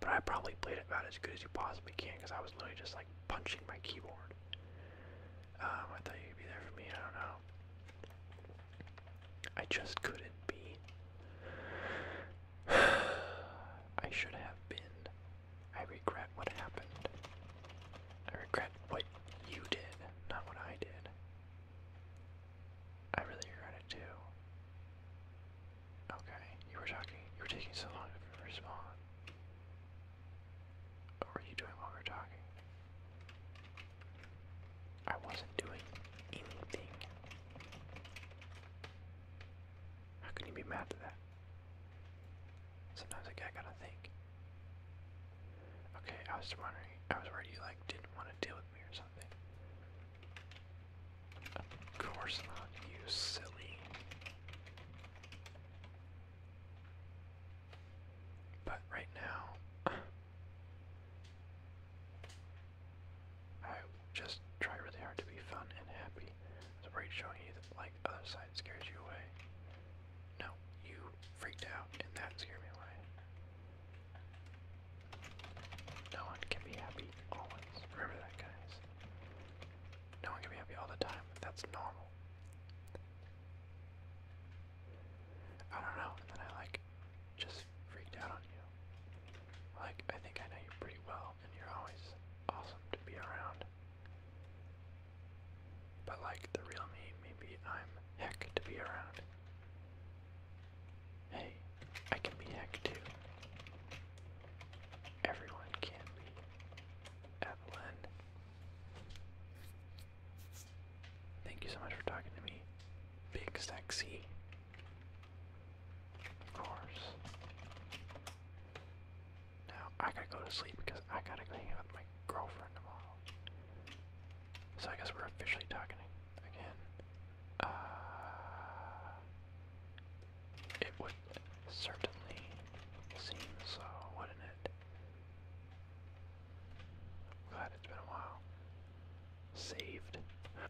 But I probably played it about as good as you possibly can because I was literally just like punching my keyboard. Um, I thought you'd be there for me. I don't know. I just couldn't be. I should have been. I regret what happened. I regret what you did, not what I did. I really regret it too. Okay, you were talking, you were taking so long to respond. What were you doing while we were talking? I wasn't doing anything. How can you be mad at that? Sometimes I gotta think. Okay, I was wondering. I was worried you like didn't want to deal with me or something. Of course not, you silly. But right now, I just try really hard to be fun and happy. I was worried showing you that, like, other side scares you away. No, you freaked out, and that scared me away. No one can be happy always. Remember that, guys. No one can be happy all the time. That's normal. I don't know, and then I like just freaked out on you. Like, I think I know you pretty well, and you're always awesome to be around. But like, the real me, maybe I'm heck to be around. Hey, I can be hacked too. Everyone can be. Evelyn. Thank you so much for talking to me. Big sexy. Of course. Now I gotta go to sleep because I gotta go hang out with my girlfriend tomorrow. So I guess we're officially talking again. Uh, it would certainly seem so, wouldn't it? glad it's been a while. Saved.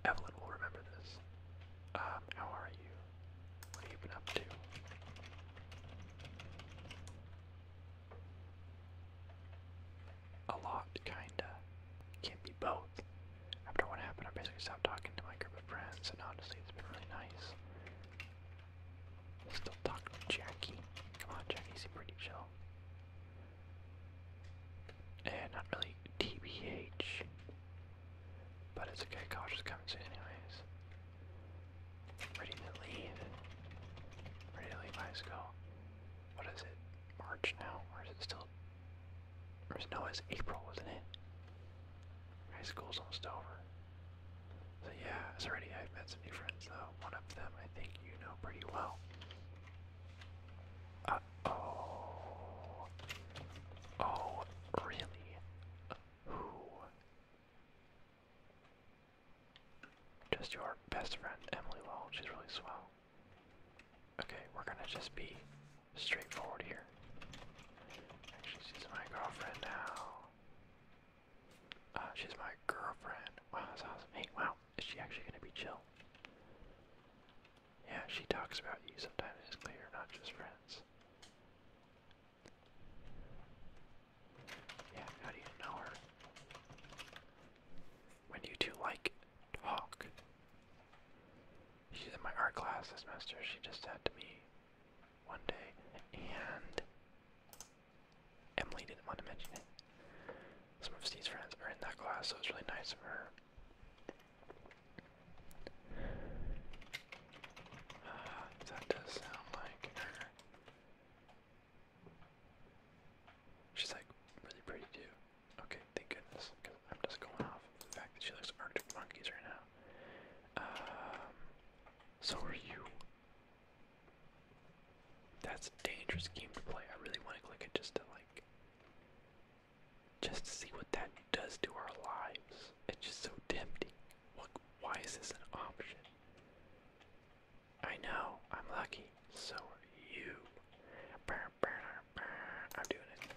Evelyn will remember this. Um, how are you? What have you been up to? a lot, kinda. Can't be both. After what happened, I basically stopped talking to my group of friends, and honestly, it's been really nice. Still talk to Jackie. Come on, Jackie, pretty chill. And eh, not really TBH. But it's okay, college coming soon anyways. Ready to leave. Ready high school what is it? March now, or is it still? Or no, it's April, isn't it? High school's almost over. So yeah, it's already. I've met some new friends though. One of them, I think you know pretty well. Uh, oh. Oh, really? Who? Just your best friend, Emily Wall. She's really swell. Okay, we're gonna just be straightforward here. Actually, she's my girlfriend now. Uh, she's my girlfriend. Wow, that's awesome. Hey, wow, is she actually gonna be chill? Yeah, she talks about you sometimes. It's clear you're not just friends. Yeah, how do you know her? When you two like talk. She's in my art class this semester. She just said to me one day, and Emily didn't want to mention it. Some of Steve's friends are in that class, so it's really nice for her. Uh, that does sound like her. She's like really pretty too. Okay, thank goodness, because I'm just going off of the fact that she looks Arctic monkeys right now. Um, so are you. That's a dangerous game to play. I really want to click it just to like, just to see what that does to our lives. It's just so tempting. What? Why is this an option? I know, I'm lucky. So are you. I'm doing it.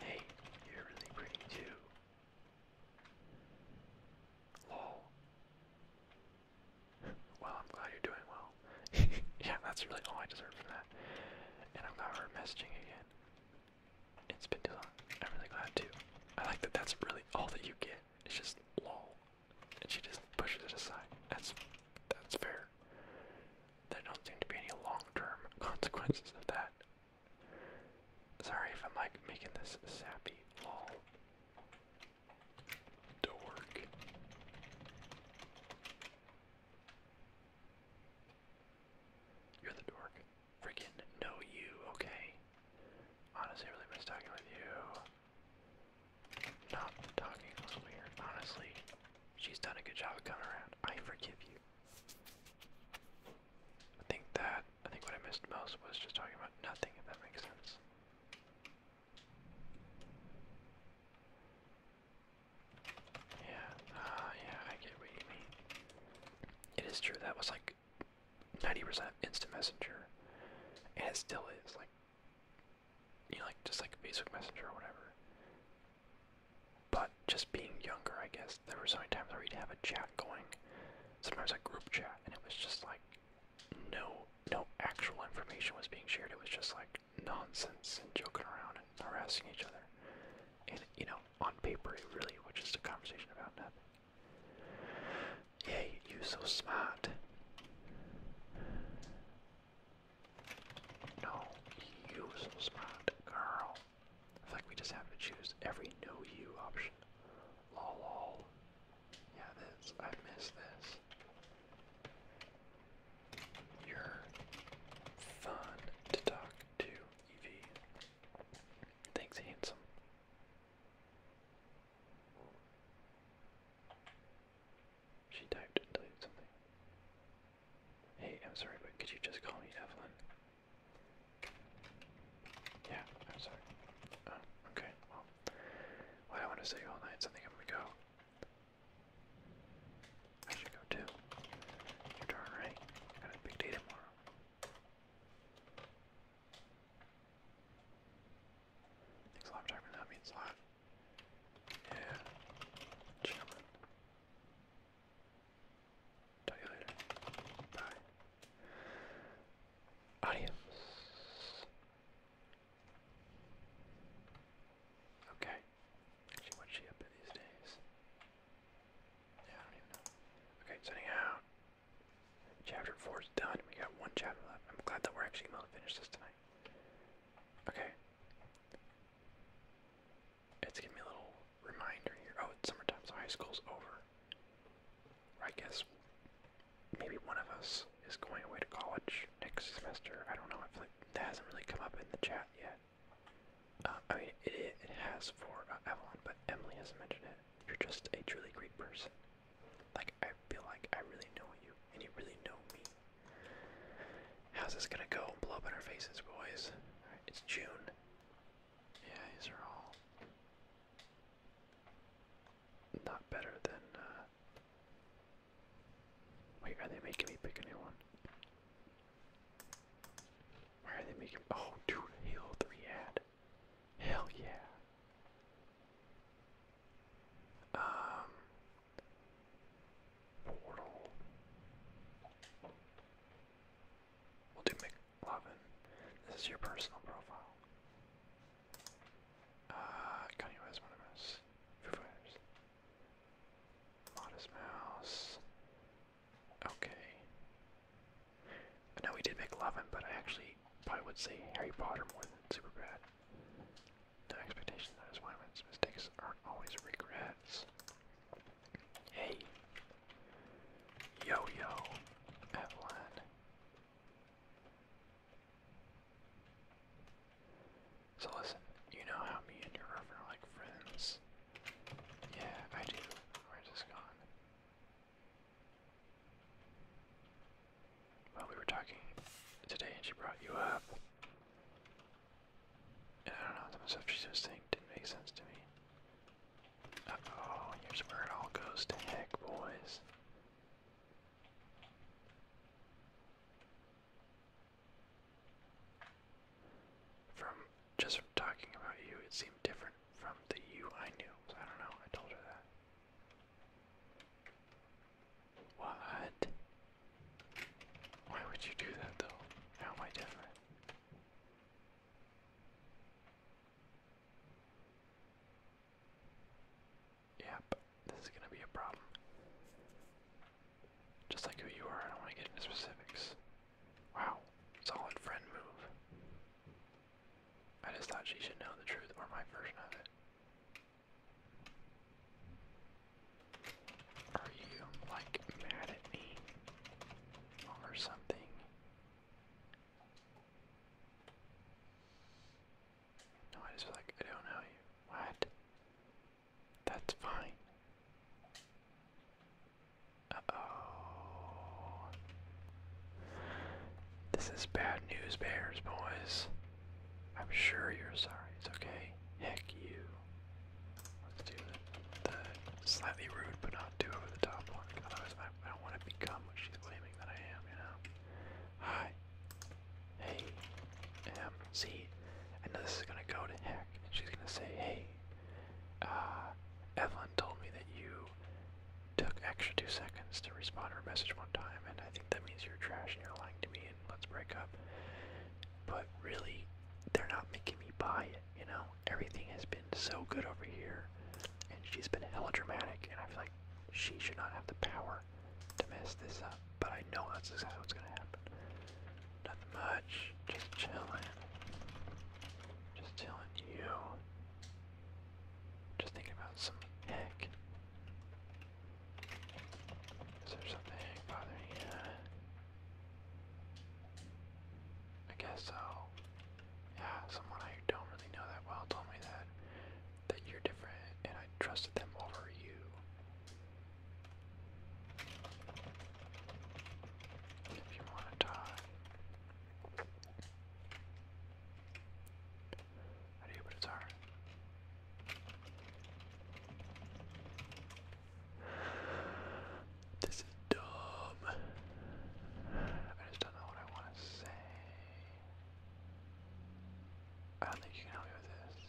Hey, you're really pretty too. Lol. Well, I'm glad you're doing well. yeah, that's really all I deserve from that. And I'm glad we're messaging again. It's been too long. I'm really glad too. I like that that's really all that you get. It's just lol and she just pushes it aside. That's that's fair. There don't seem to be any long-term consequences of that. Sorry if I'm like making this sappy lol. Dork. You're the dork. Freaking know you, okay. Honestly, really miss talking with you. Not talking Honestly, she's done a good job of coming around. I forgive you. I think that, I think what I missed most was just talking about nothing, if that makes sense. Yeah, uh, yeah, I get what you mean. It is true, that was like 90% instant messenger, and it still is. Like, you know, like just like basic Messenger or whatever. But just being younger, I guess there were so many times where we'd have a chat going, sometimes a group chat, and it was just like no no actual information was being shared. It was just like nonsense and joking around and harassing each other. And you know, on paper, it really was just a conversation about nothing. Hey, you are so smart. No, you so smart, girl. I feel we just have to choose every no you option. Lol, lol. Yeah, this. I miss this. You're fun to talk to, Evie. Thanks, handsome. She typed and typed something. Hey, I'm sorry, but could you just call me Evelyn? Yeah, I'm sorry. Oh, okay, well. I want to say all night, so I am gonna go. I should go too. You're right. got a big day tomorrow. Thanks a lot for talking to a lot. Yeah, chillin'. Talk to you later. Bye. Adios. Okay. She, what's she up these days? Yeah, I don't even know. Okay, sending out. Chapter 4 is done. We got one chapter left. I'm glad that we're actually going to finish this tonight. Okay. It's giving me a little reminder here. Oh, it's summertime, so high school's over. I guess maybe one of us is going away to college next semester. I don't know. I feel like that hasn't really come up in the chat yet. Uh, I mean, it, has for uh, Evelyn, but Emily hasn't mentioned it. You're just a truly great person. Like, I feel like I really know you, and you really know me. How's this gonna go? Blow up in our faces, boys. it's June. Yeah, these are all not better than. Uh, wait, are they making me pick a new one? Why are they making? Oh, dude, Halo 3 ad. Hell yeah. Um, Portal. We'll do McLovin. This is your personal profile. Uh, Kanye West, one of us. Foo Fighters. Modest Mouse. Okay. I know we did McLovin, but I actually probably would say Harry Potter more than Superbad. No expectation, that is why men's mistakes aren't always regrets. Hey. Yo yo, Evelyn. So listen, you know how me and your girlfriend are like friends. Yeah, I do. Where's this gone? Well, we were talking today and she brought you up. And I don't know, some stuff she was saying didn't make sense to me. oh, here's where it all goes to heck, boys. From just talking about you, it seemed different from the you I knew. I don't know, I told her that. What? Why would you do that though? How am I different? Yep, this is gonna be a problem. Just like who you are, I don't want to get into specifics. Wow, solid friend move. I just thought she should know the truth, or my version of it. Are you, like, mad at me or something? No, I just feel like I don't know you. What? That's fine. Uh-oh. This is bad news, Bears, boys. I'm sure you're sorry. It's okay. Heck you. Let's do the, slightly rude but not too over the top one. I, don't want to become what she's claiming that I am. You know. Hi. Hey. Um. See. this is gonna go to heck. she's gonna say, "Hey, uh, Evelyn told me that you took extra two seconds to respond to her message one time, and I think that means you're trash and you're lying to me, let's break up. But really, they're not making me buy it, you know? Everything has been so good over here, and she's been hella dramatic, and I feel like she should not have the power to mess this up. But I know that's exactly what's gonna happen. Nothing much, just chilling. Just chilling you. Just thinking about some heck. Is there something bothering you? I guess so. Yeah, someone I don't really know that well told me that that you're different, and I trusted them over you. If you want to talk. I do, but it's hard. This is dumb. I just don't know what I want to say. I don't think you can help me with this.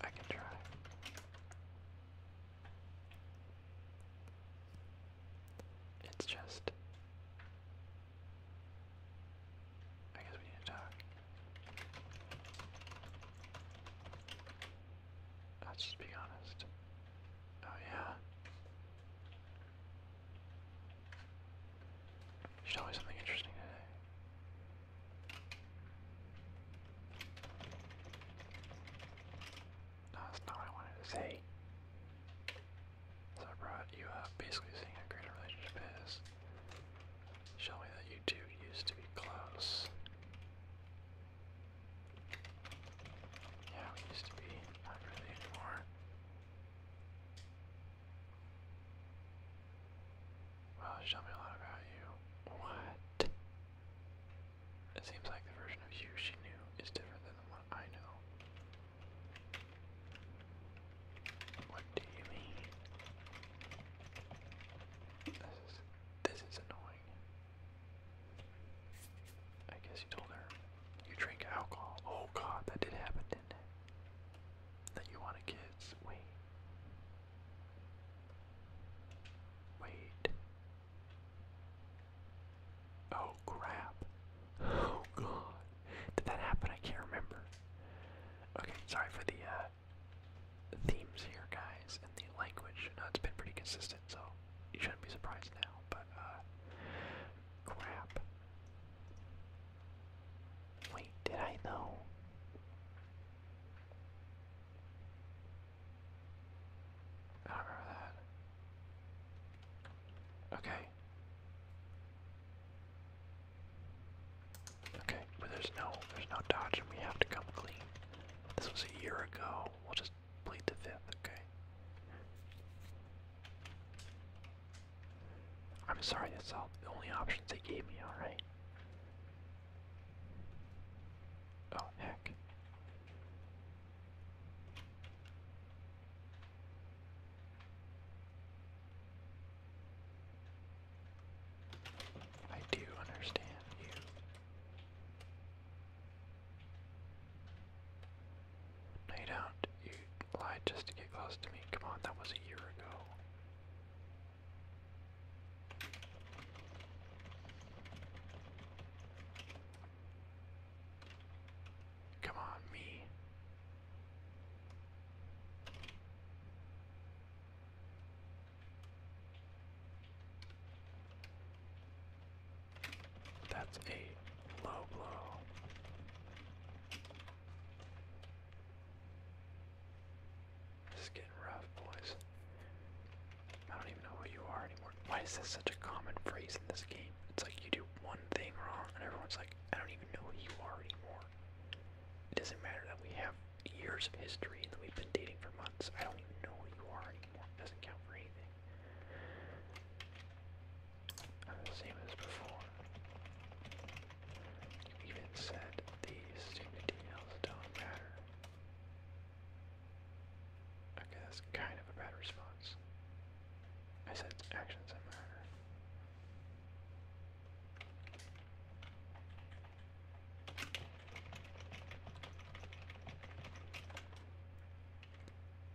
I can try. It's just. I guess we need to talk. Let's just be honest. Oh yeah. There's always something interesting today. that's not what I wanted to say. So I brought you up basically seeing how great a relationship is. Show me that you two used to be close. Yeah, we used to be. Not really anymore. Well, show me a lot about you. What? It seems like the version of you she knew is different than the one I know. What do you mean? This is this is annoying. I guess you told her you drink alcohol. Oh god, that did happen, didn't it? That you wanted kids. Wait. Wait. Oh crap. Oh god. Did that happen? I can't remember. Okay, sorry for the uh the themes here, guys, and the language. No, it's been pretty consistent, so you shouldn't be surprised now. But uh, crap. Wait, did I know? I remember that. Okay. Okay, but there's no there's no dodge and we have to come clean. This was a year ago. We'll just plead the fifth, okay? I'm sorry, that's all the only options they gave me, alright? Oh heck. I do understand you. No, you don't. You lied just to get close to me. Come on, that was a year ago. Come on, me. That's a low blow. This getting rough, boys. I don't even know who you are anymore. Why is this such a common phrase in this game? It's like you do one thing wrong, and everyone's like, I don't even know who you are anymore. It doesn't matter that we have years of history and that we've been dating for months. I don't even know who you are anymore. It doesn't count for anything. same as before. You even said the stupid details don't matter. Okay, that's kind of a bad response. I said actions matter.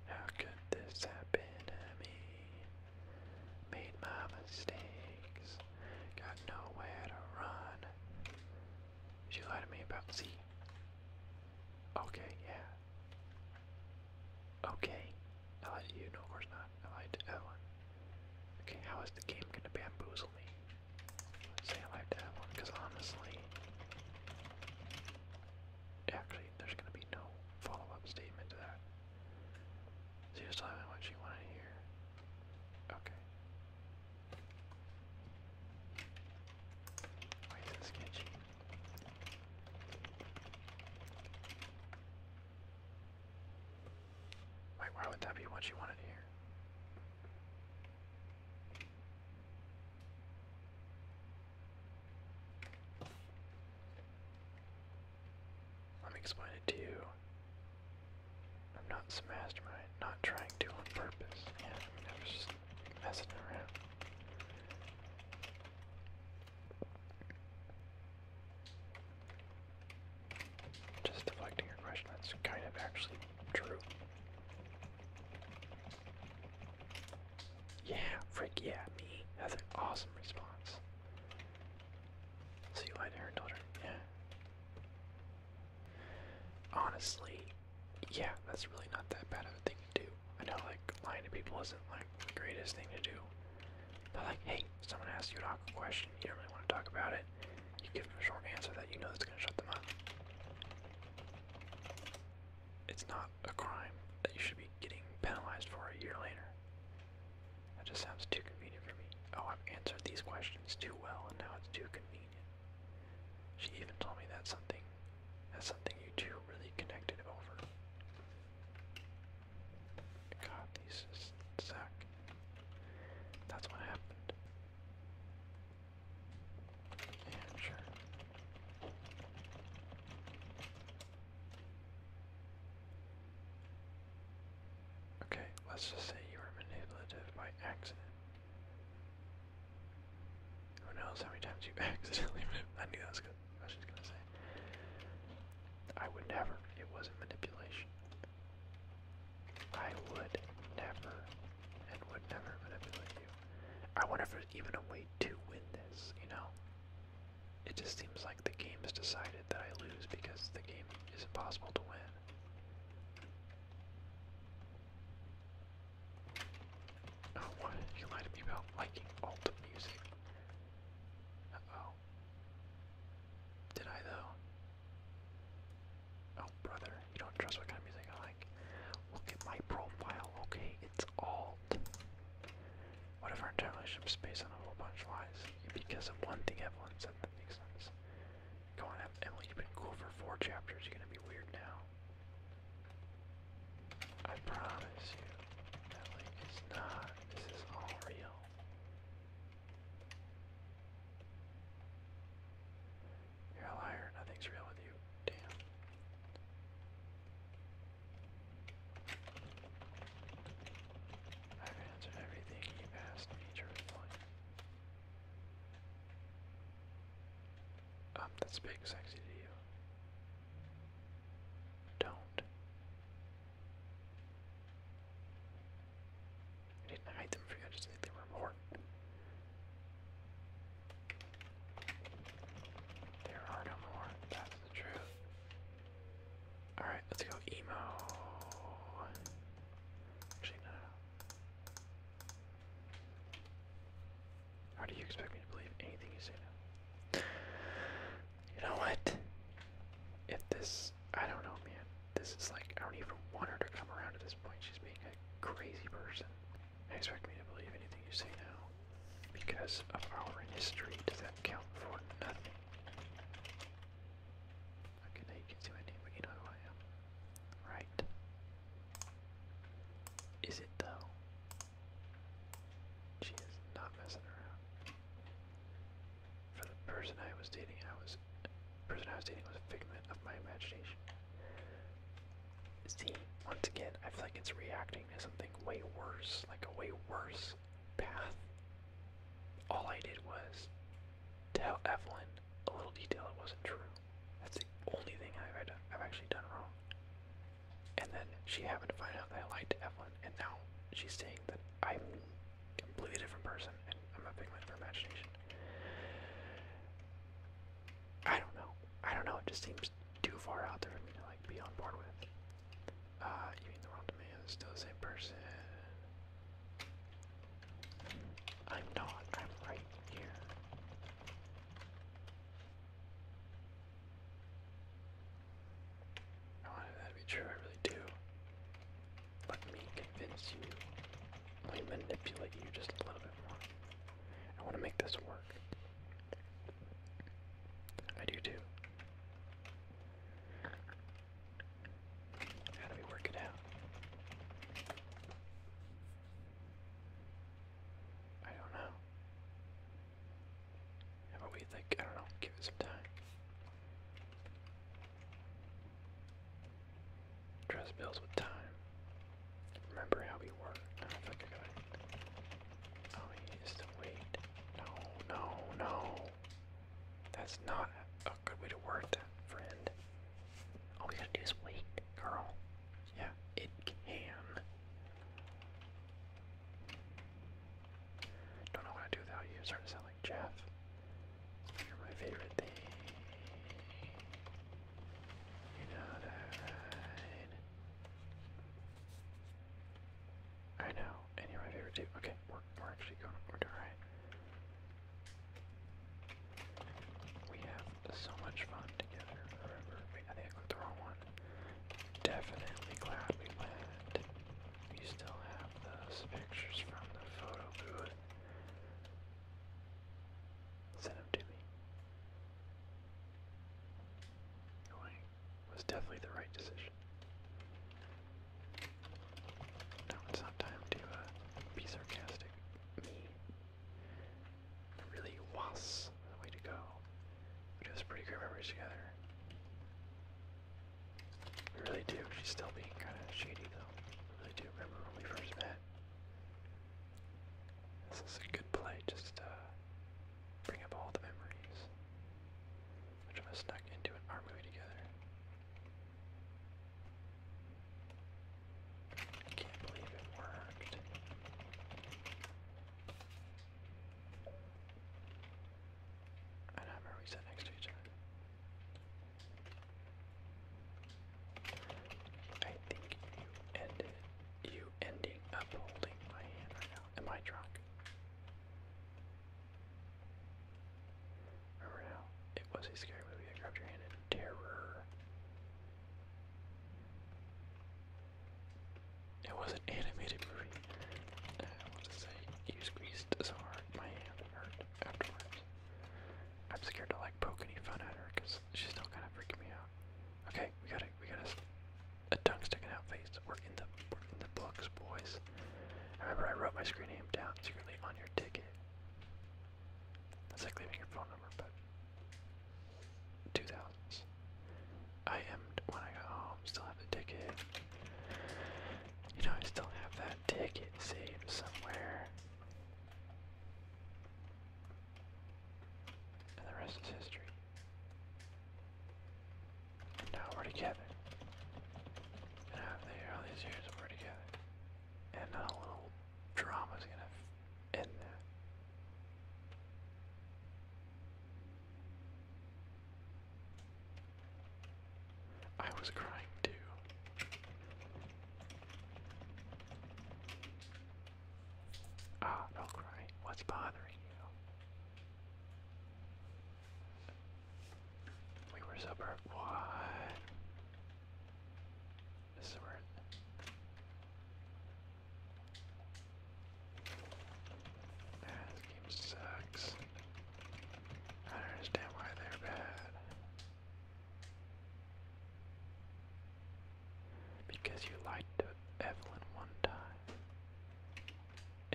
How this happen to me? Made my mistakes, got nowhere to run. She lied to me about Z. Okay, yeah. Okay. I lied to you, no of course not. I lied to Ellen. Okay, how is the game gonna bamboozle me? say I like that one, because honestly, actually, there's gonna be no follow-up statement to that. So just tell me what you want to hear. Okay. Why is sketchy? Wait, why would that be what you wanted here? Let me explain it to you. I'm not some mastermind, not trying to on purpose. Yeah, I mean, just messing around. Just deflecting your question, that's kind of actually true. Yeah, frick yeah, me. That's an awesome response. See you later, daughter. Yeah. Honestly, yeah, that's really not that bad of a thing to do. I know, like, lying to people isn't, like, the greatest thing to do. They're like, hey, someone asks you an awkward question. You don't really want to talk about it. You give them a short answer that you know that's going to shut them up. It's not a crime that you should be getting penalized for a year later. That just sounds too convenient for me. Oh, I've answered these questions too well, and now it's too convenient. She even told me that's something, that's something you two really connected over. God, these just suck. That's what happened. Yeah, sure. Okay, let's just say you were manipulative by accident. Who knows how many times you accidentally I knew that was good. I was just gonna say. I would never. It wasn't manipulation. I would never and would never manipulate you. I wonder if there's even a way to win this, you know? It just seems like the game has decided that I lose because the game is impossible to win. Oh, You lied to me about liking alt music. oh did I though? Oh brother, you don't trust what kind of music I like. Look at my profile, okay? It's alt. What if our entire relationship is based on a whole bunch of lies? Because of one thing Evelyn said that makes sense. Go on, Emily, you've been cool for four chapters, you're gonna be weird now. I promise you, Emily, it's not. This is all real. You're a liar. Nothing's real with you. Damn. I've answered everything you've asked me truthfully. Um, that's big sexy to you. Don't I didn't hide them for you, I just think they were more. There are no more, that's the truth. Alright, let's go emo. Actually, no. How do you expect me to believe anything you say now? You know what? If this I don't know, man. This is like, I don't even want her to come around at this point. She's being a crazy person. I expect me to believe anything you say now. Because of our history, does that count for nothing? Okay, now you can see my name, but you know who I am. Right. Is it though? She is not messing around. For the person I was dating, I was the person I was dating was a figment of my imagination. See, once again, I feel like it's reacting to something way worse, like a way worse path. All I did was tell Evelyn a little detail that wasn't true. That's the only thing I've, I've actually done wrong. And then she happened to find out that I lied to Evelyn, and now she's saying I'm a completely different person and I'm a figment of her imagination. I don't know. I don't know. It just seems too far out there for me to like be on board with. Uh, you mean the world to me is still the same person? I'm not. I'm right here. I wanted that to be true. I really do. Let me convince you. Let me manipulate you just a little bit more. I want to make this work. I do too. How do we work it out? I don't know. How about we, like, I don't know, give it some time. Dress bills with time. Remember how we were. I don't think I No, no, no. That's not a good way to word friend. All we gotta do is wait, girl. Yeah, it can. Don't know how to do without you. Start to sound Jeff. You're my favorite thing. You know that. I know, and you're my favorite too. Okay, we're we're actually going. We're doing right. We have so much fun together. Remember, I think I clicked the wrong one. Definitely glad we went. We still have those pictures from the photo booth. Send him to me. Going was definitely the right decision. Now it's not time to uh, be sarcastic. Me. Really was the way to go. We do this pretty great memories together. I really do. She's still being kind of shady, though. I do remember when we first met. This is a good play, just to bring up all the memories. Which of snuck into an art movie together. I can't believe it worked. I remember we sat next to each other. I think you ended you ending up holding my hand right now. Am I drunk? Remember now, it was a scary movie. I grabbed your hand in terror. It was an animated movie. I want to say you squeezed so hard my hand hurt afterward. I'm scared to like poke any fun at her because she's still kind of freaking me out. Okay, we got a we got a, a tongue sticking out face. We're in the in the books, boys. remember I wrote my screen name down securely on your ticket. That's like leaving your phone number, but two thousands. I am when I got home. Still have the ticket. You know, I still have that ticket saved somewhere. And the rest is history. now we're together. And after all these years, we're together. And a little drama's gonna end that. I was crying too. Ah, don't cry. What's bothering you? We were suburb. What? This is where. Nah, game sucks. I don't understand why they're bad. Because you lied Evelyn one time.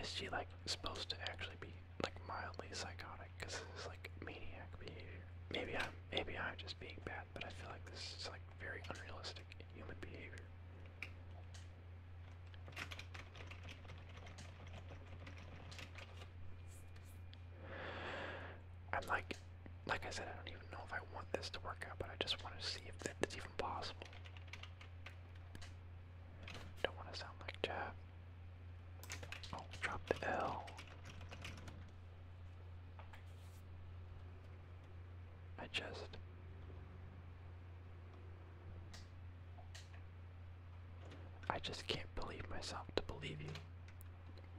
Is she like supposed to actually be like mildly psychotic? Because this is like maniac behavior. Maybe I'm maybe I'm just being bad, but I feel like this is like very unrealistic human behavior. I'm like, like I said, I don't even know if I want this to work out, but I just want to see if th even possible. Don't want to sound like Jab. Oh, drop the L. I just. I just can't believe myself to believe you.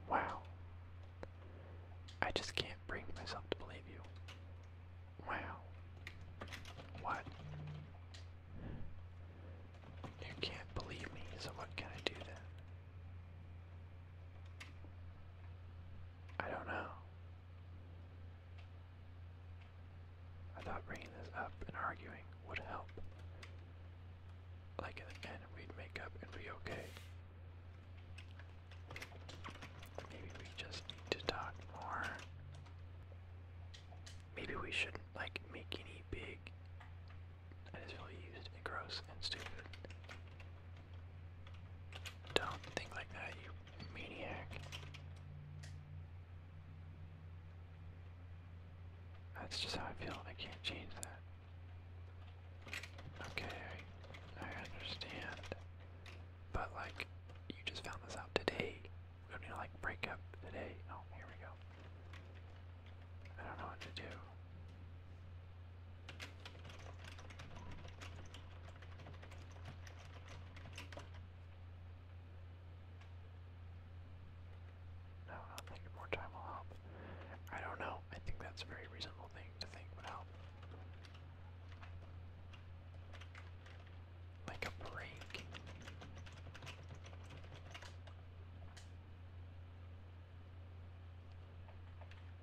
Wow. I just can't bring myself to believe you. Wow. What? You can't believe me, so what can I do then? I don't know. I thought bringing this up and arguing would help like in the end we'd make up and be okay. Maybe we just need to talk more. Maybe we shouldn't like make any big I just feel used and gross and stupid. Don't think like that, you maniac. That's just how I feel I can't change that. Okay, I, understand. But like, you just found this out today. We don't to like break up today. Oh, here we go. I don't know what to do. No, not thinking more time will help. I don't know. I think that's a very reasonable thing to think would help. Like a break.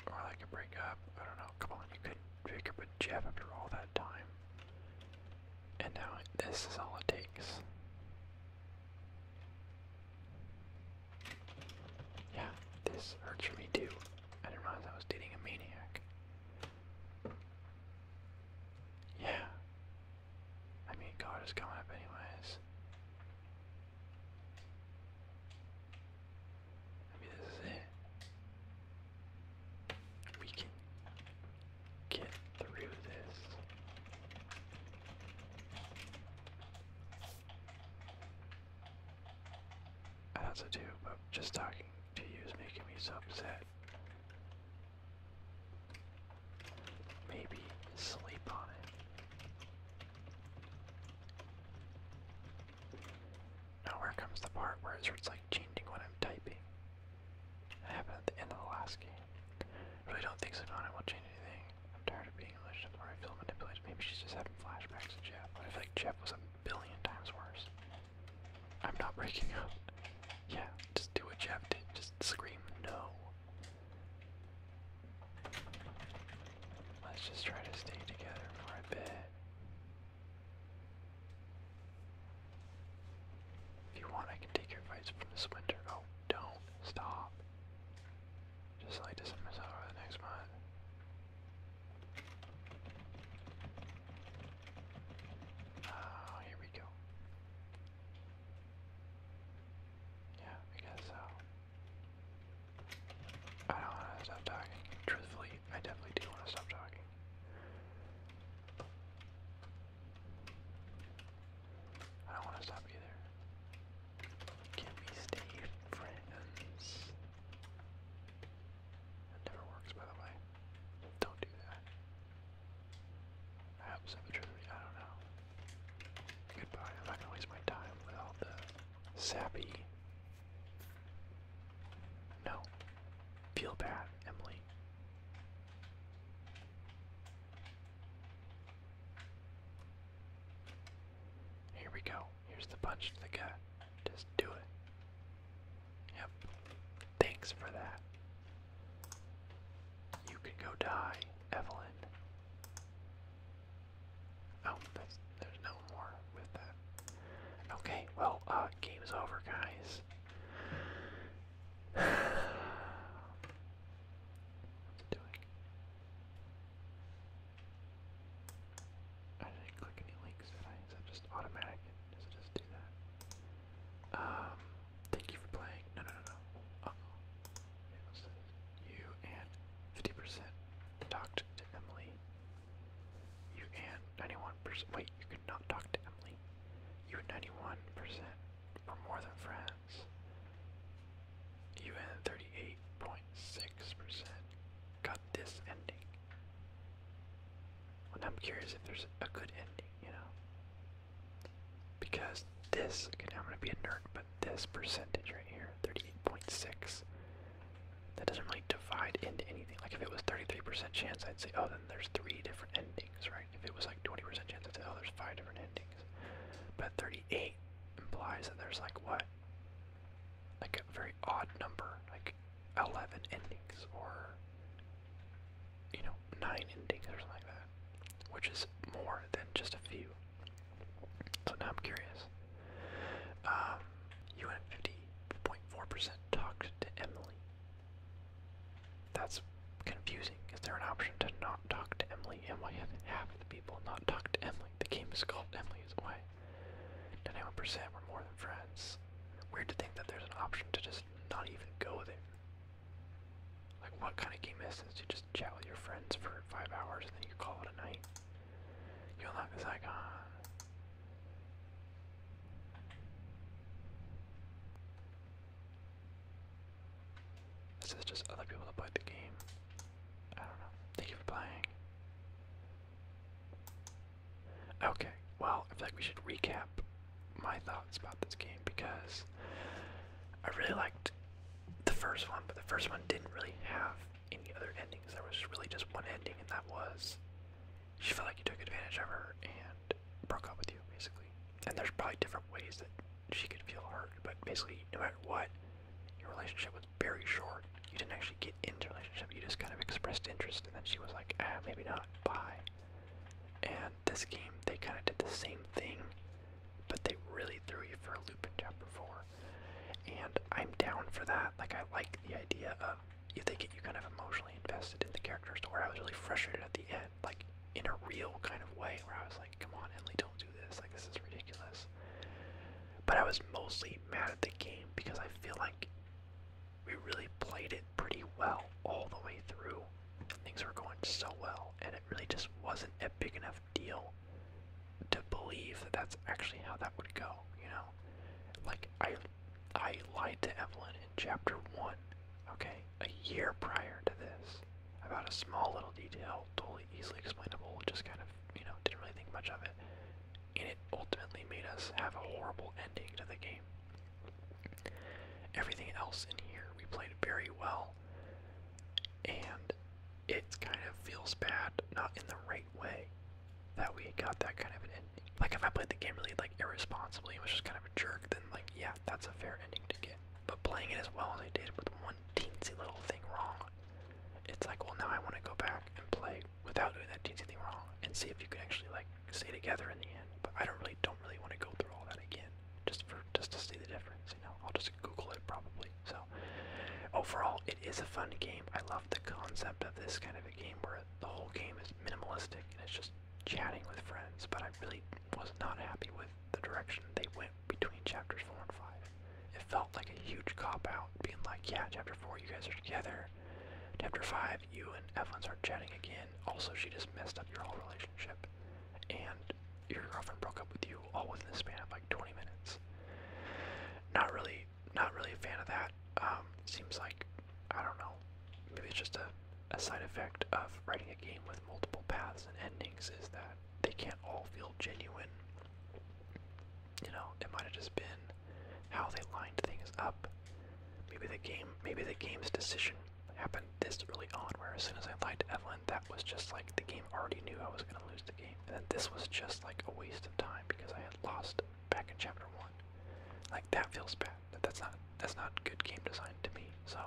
Or like a breakup. I don't know. Come on, you could pick up Jeff after all that time. And now this is all it takes. Yeah, this hurts for me too. I didn't realize I was dating a maniac. Yeah. I mean, God is coming up anyways. Maybe this is it. We can get through this. As I do, but just talking to you is making me so upset. Maybe sleep on it. Now here comes the part where it starts like changing what I'm typing. happened at the end of the last game. I really don't think Savannah will change anything. I'm tired of being in a manipulated. Maybe she's just having flashbacks to Jeff. But I feel like Jeff was a billion times worse. I'm not breaking up. Yeah, just do what Jeff did. Just scream no. Let's just try to stay together for a bit. If you want, I can take your advice from this winter. Oh, don't. Stop. Just like this missile the next mod. Oh, ah, here we go. Yeah, I guess so. I don't want to stop talking. Truthfully, I definitely do want to stop talking. I don't want to stop either. Can we stay friends? That never works, by the way. Don't do that. I hope so, but I don't know. Goodbye. I'm not gonna waste my time with all the sappy. No. Feel bad, Emily. Here we go. Here's the punch to the gut. Just do it. Yep. Thanks for that. You can go die, Evelyn. Oh, there's no more with that. Okay, well, uh, game's over, guys. What's doing? I didn't click any links, did just automatic? Does it just do that? Um, thank you for playing. No, no, no, no. oh. you and 50% talked to Emily. You and 91%. Wait, you could talk to Emily. You 91% were more than friends cents. 38.6% got this ending. And I'm curious if there's a good ending, you know? Because this, now I'm gonna be a nerd, but this percentage right here, 38.6, that doesn't really divide into anything. Like if it was 33% chance, I'd say, oh, then there's three different endings, right? If it was like 20% chance, I'd say, oh, there's five different endings. But 38 implies that there's like what? Like a very odd number, like 11 endings or, you know, 9 endings or something like that, which is more than just a few. So now I'm curious. Um, 50.4% talked to Emily. That's confusing. Is there an option to not talk to Emily? Emily, half of the people not talked to Emily? The game is called Emily is Away. 91% were more than friends. Weird to think that there's an option to just not even go with it. Like, what kind of game is this? You just chat with your friends for five hours and then you call it a night. You unlock this icon. This is just other people that played the game. I don't know. Thank you for playing. Okay, well, I feel like we should recap my thoughts about this game because I really liked the first one, but the first one didn't really have any other endings. There was really just one ending, and that was she felt like you took advantage of her and broke up with you, basically. And there's probably different ways that she could feel hurt, but basically, no matter what, your relationship was very short. You didn't actually get into a relationship, you just kind of expressed interest, and then she was like, ah, maybe not, bye. And this game, they kind of did the same thing, but they really threw you for a loop in Chapter 4. And I'm down for that. Like, I like the idea of if they get you kind of emotionally invested in the characters to where I was really frustrated at the end, like in a real kind of way, where I was like, come on, Emily, don't do this. Like, this is ridiculous. But I was mostly mad at the game because I feel like we really played it pretty well all the way through. Things were going so well, and it really just wasn't a big enough deal to believe that that's actually how that would go, you know? Like, I, I lied to Evelyn in chapter one, okay? A year prior to this about a small little detail, totally easily explainable, just kind of, you know, didn't really think much of it. And it ultimately made us have a horrible ending to the game. Everything else in here we played very well, and it kind of feels bad, not in the right way, that we got that kind of an ending. Like if I played the game really like irresponsibly and was just kind of a jerk, then like yeah, that's a fair ending to get. But playing it as well as I did with one teensy little thing wrong, it's like, well, now I want to go back and play without doing that teensy thing wrong and see if you can actually like stay together in the end. But I don't really, don't really want to go through all that again just for just to see the difference. You know, I'll just Google it probably. So overall, it is a fun game. I love the concept of this kind of a game where the whole game is minimalistic and it's just chatting with friends. But I really was not happy with the direction they went between chapters four and five. It felt like a huge cop out, being like, yeah, chapter four, you guys are together. Chapter five, you and Evelyn start chatting again. Also, she just messed up your whole relationship, and your girlfriend broke up with you all within the span of like 20 minutes. Not really, not really a fan of that. Um, seems like, I don't know, maybe it's just a side effect of writing a game with multiple paths and endings is that they can't all feel genuine. You know, it might have just been how they lined things up. Maybe the game, maybe the game's decision happened this early on, where as soon as I lied to Evelyn, that was just like the game already knew I was going to lose the game, and then this was just like a waste of time because I had lost back in chapter one. Like that feels bad. That's not that's not good game design to me. So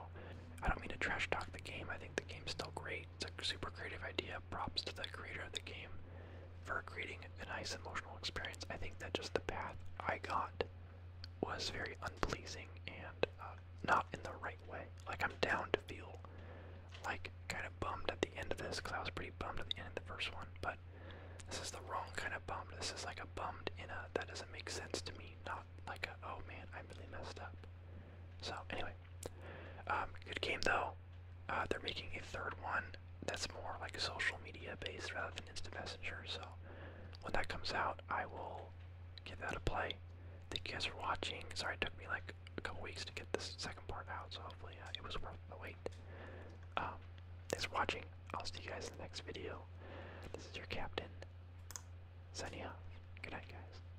I don't mean to trash talk the game. I think the game's still great. It's a super creative idea. Props to the creator of the game for creating a nice emotional experience. I think that just the path I got was very unpleasing and uh, not in the right way. Like, I'm down to feel like kind of bummed at the end of this because I was pretty bummed at the end of the first one, but this is the wrong kind of bummed. This is like a bummed in a that doesn't make sense to me, not like a oh man, I really messed up. So anyway, um, good game though. Uh, they're making a third one that's more like a social media based rather than instant messenger. So when that comes out, I will give that a play. Thank you guys for watching. Sorry it took me like a couple weeks to get this second part out, so hopefully uh, it was worth the wait. Um, thanks for watching. I'll see you guys in the next video. This is your captain signing off. Good night, guys.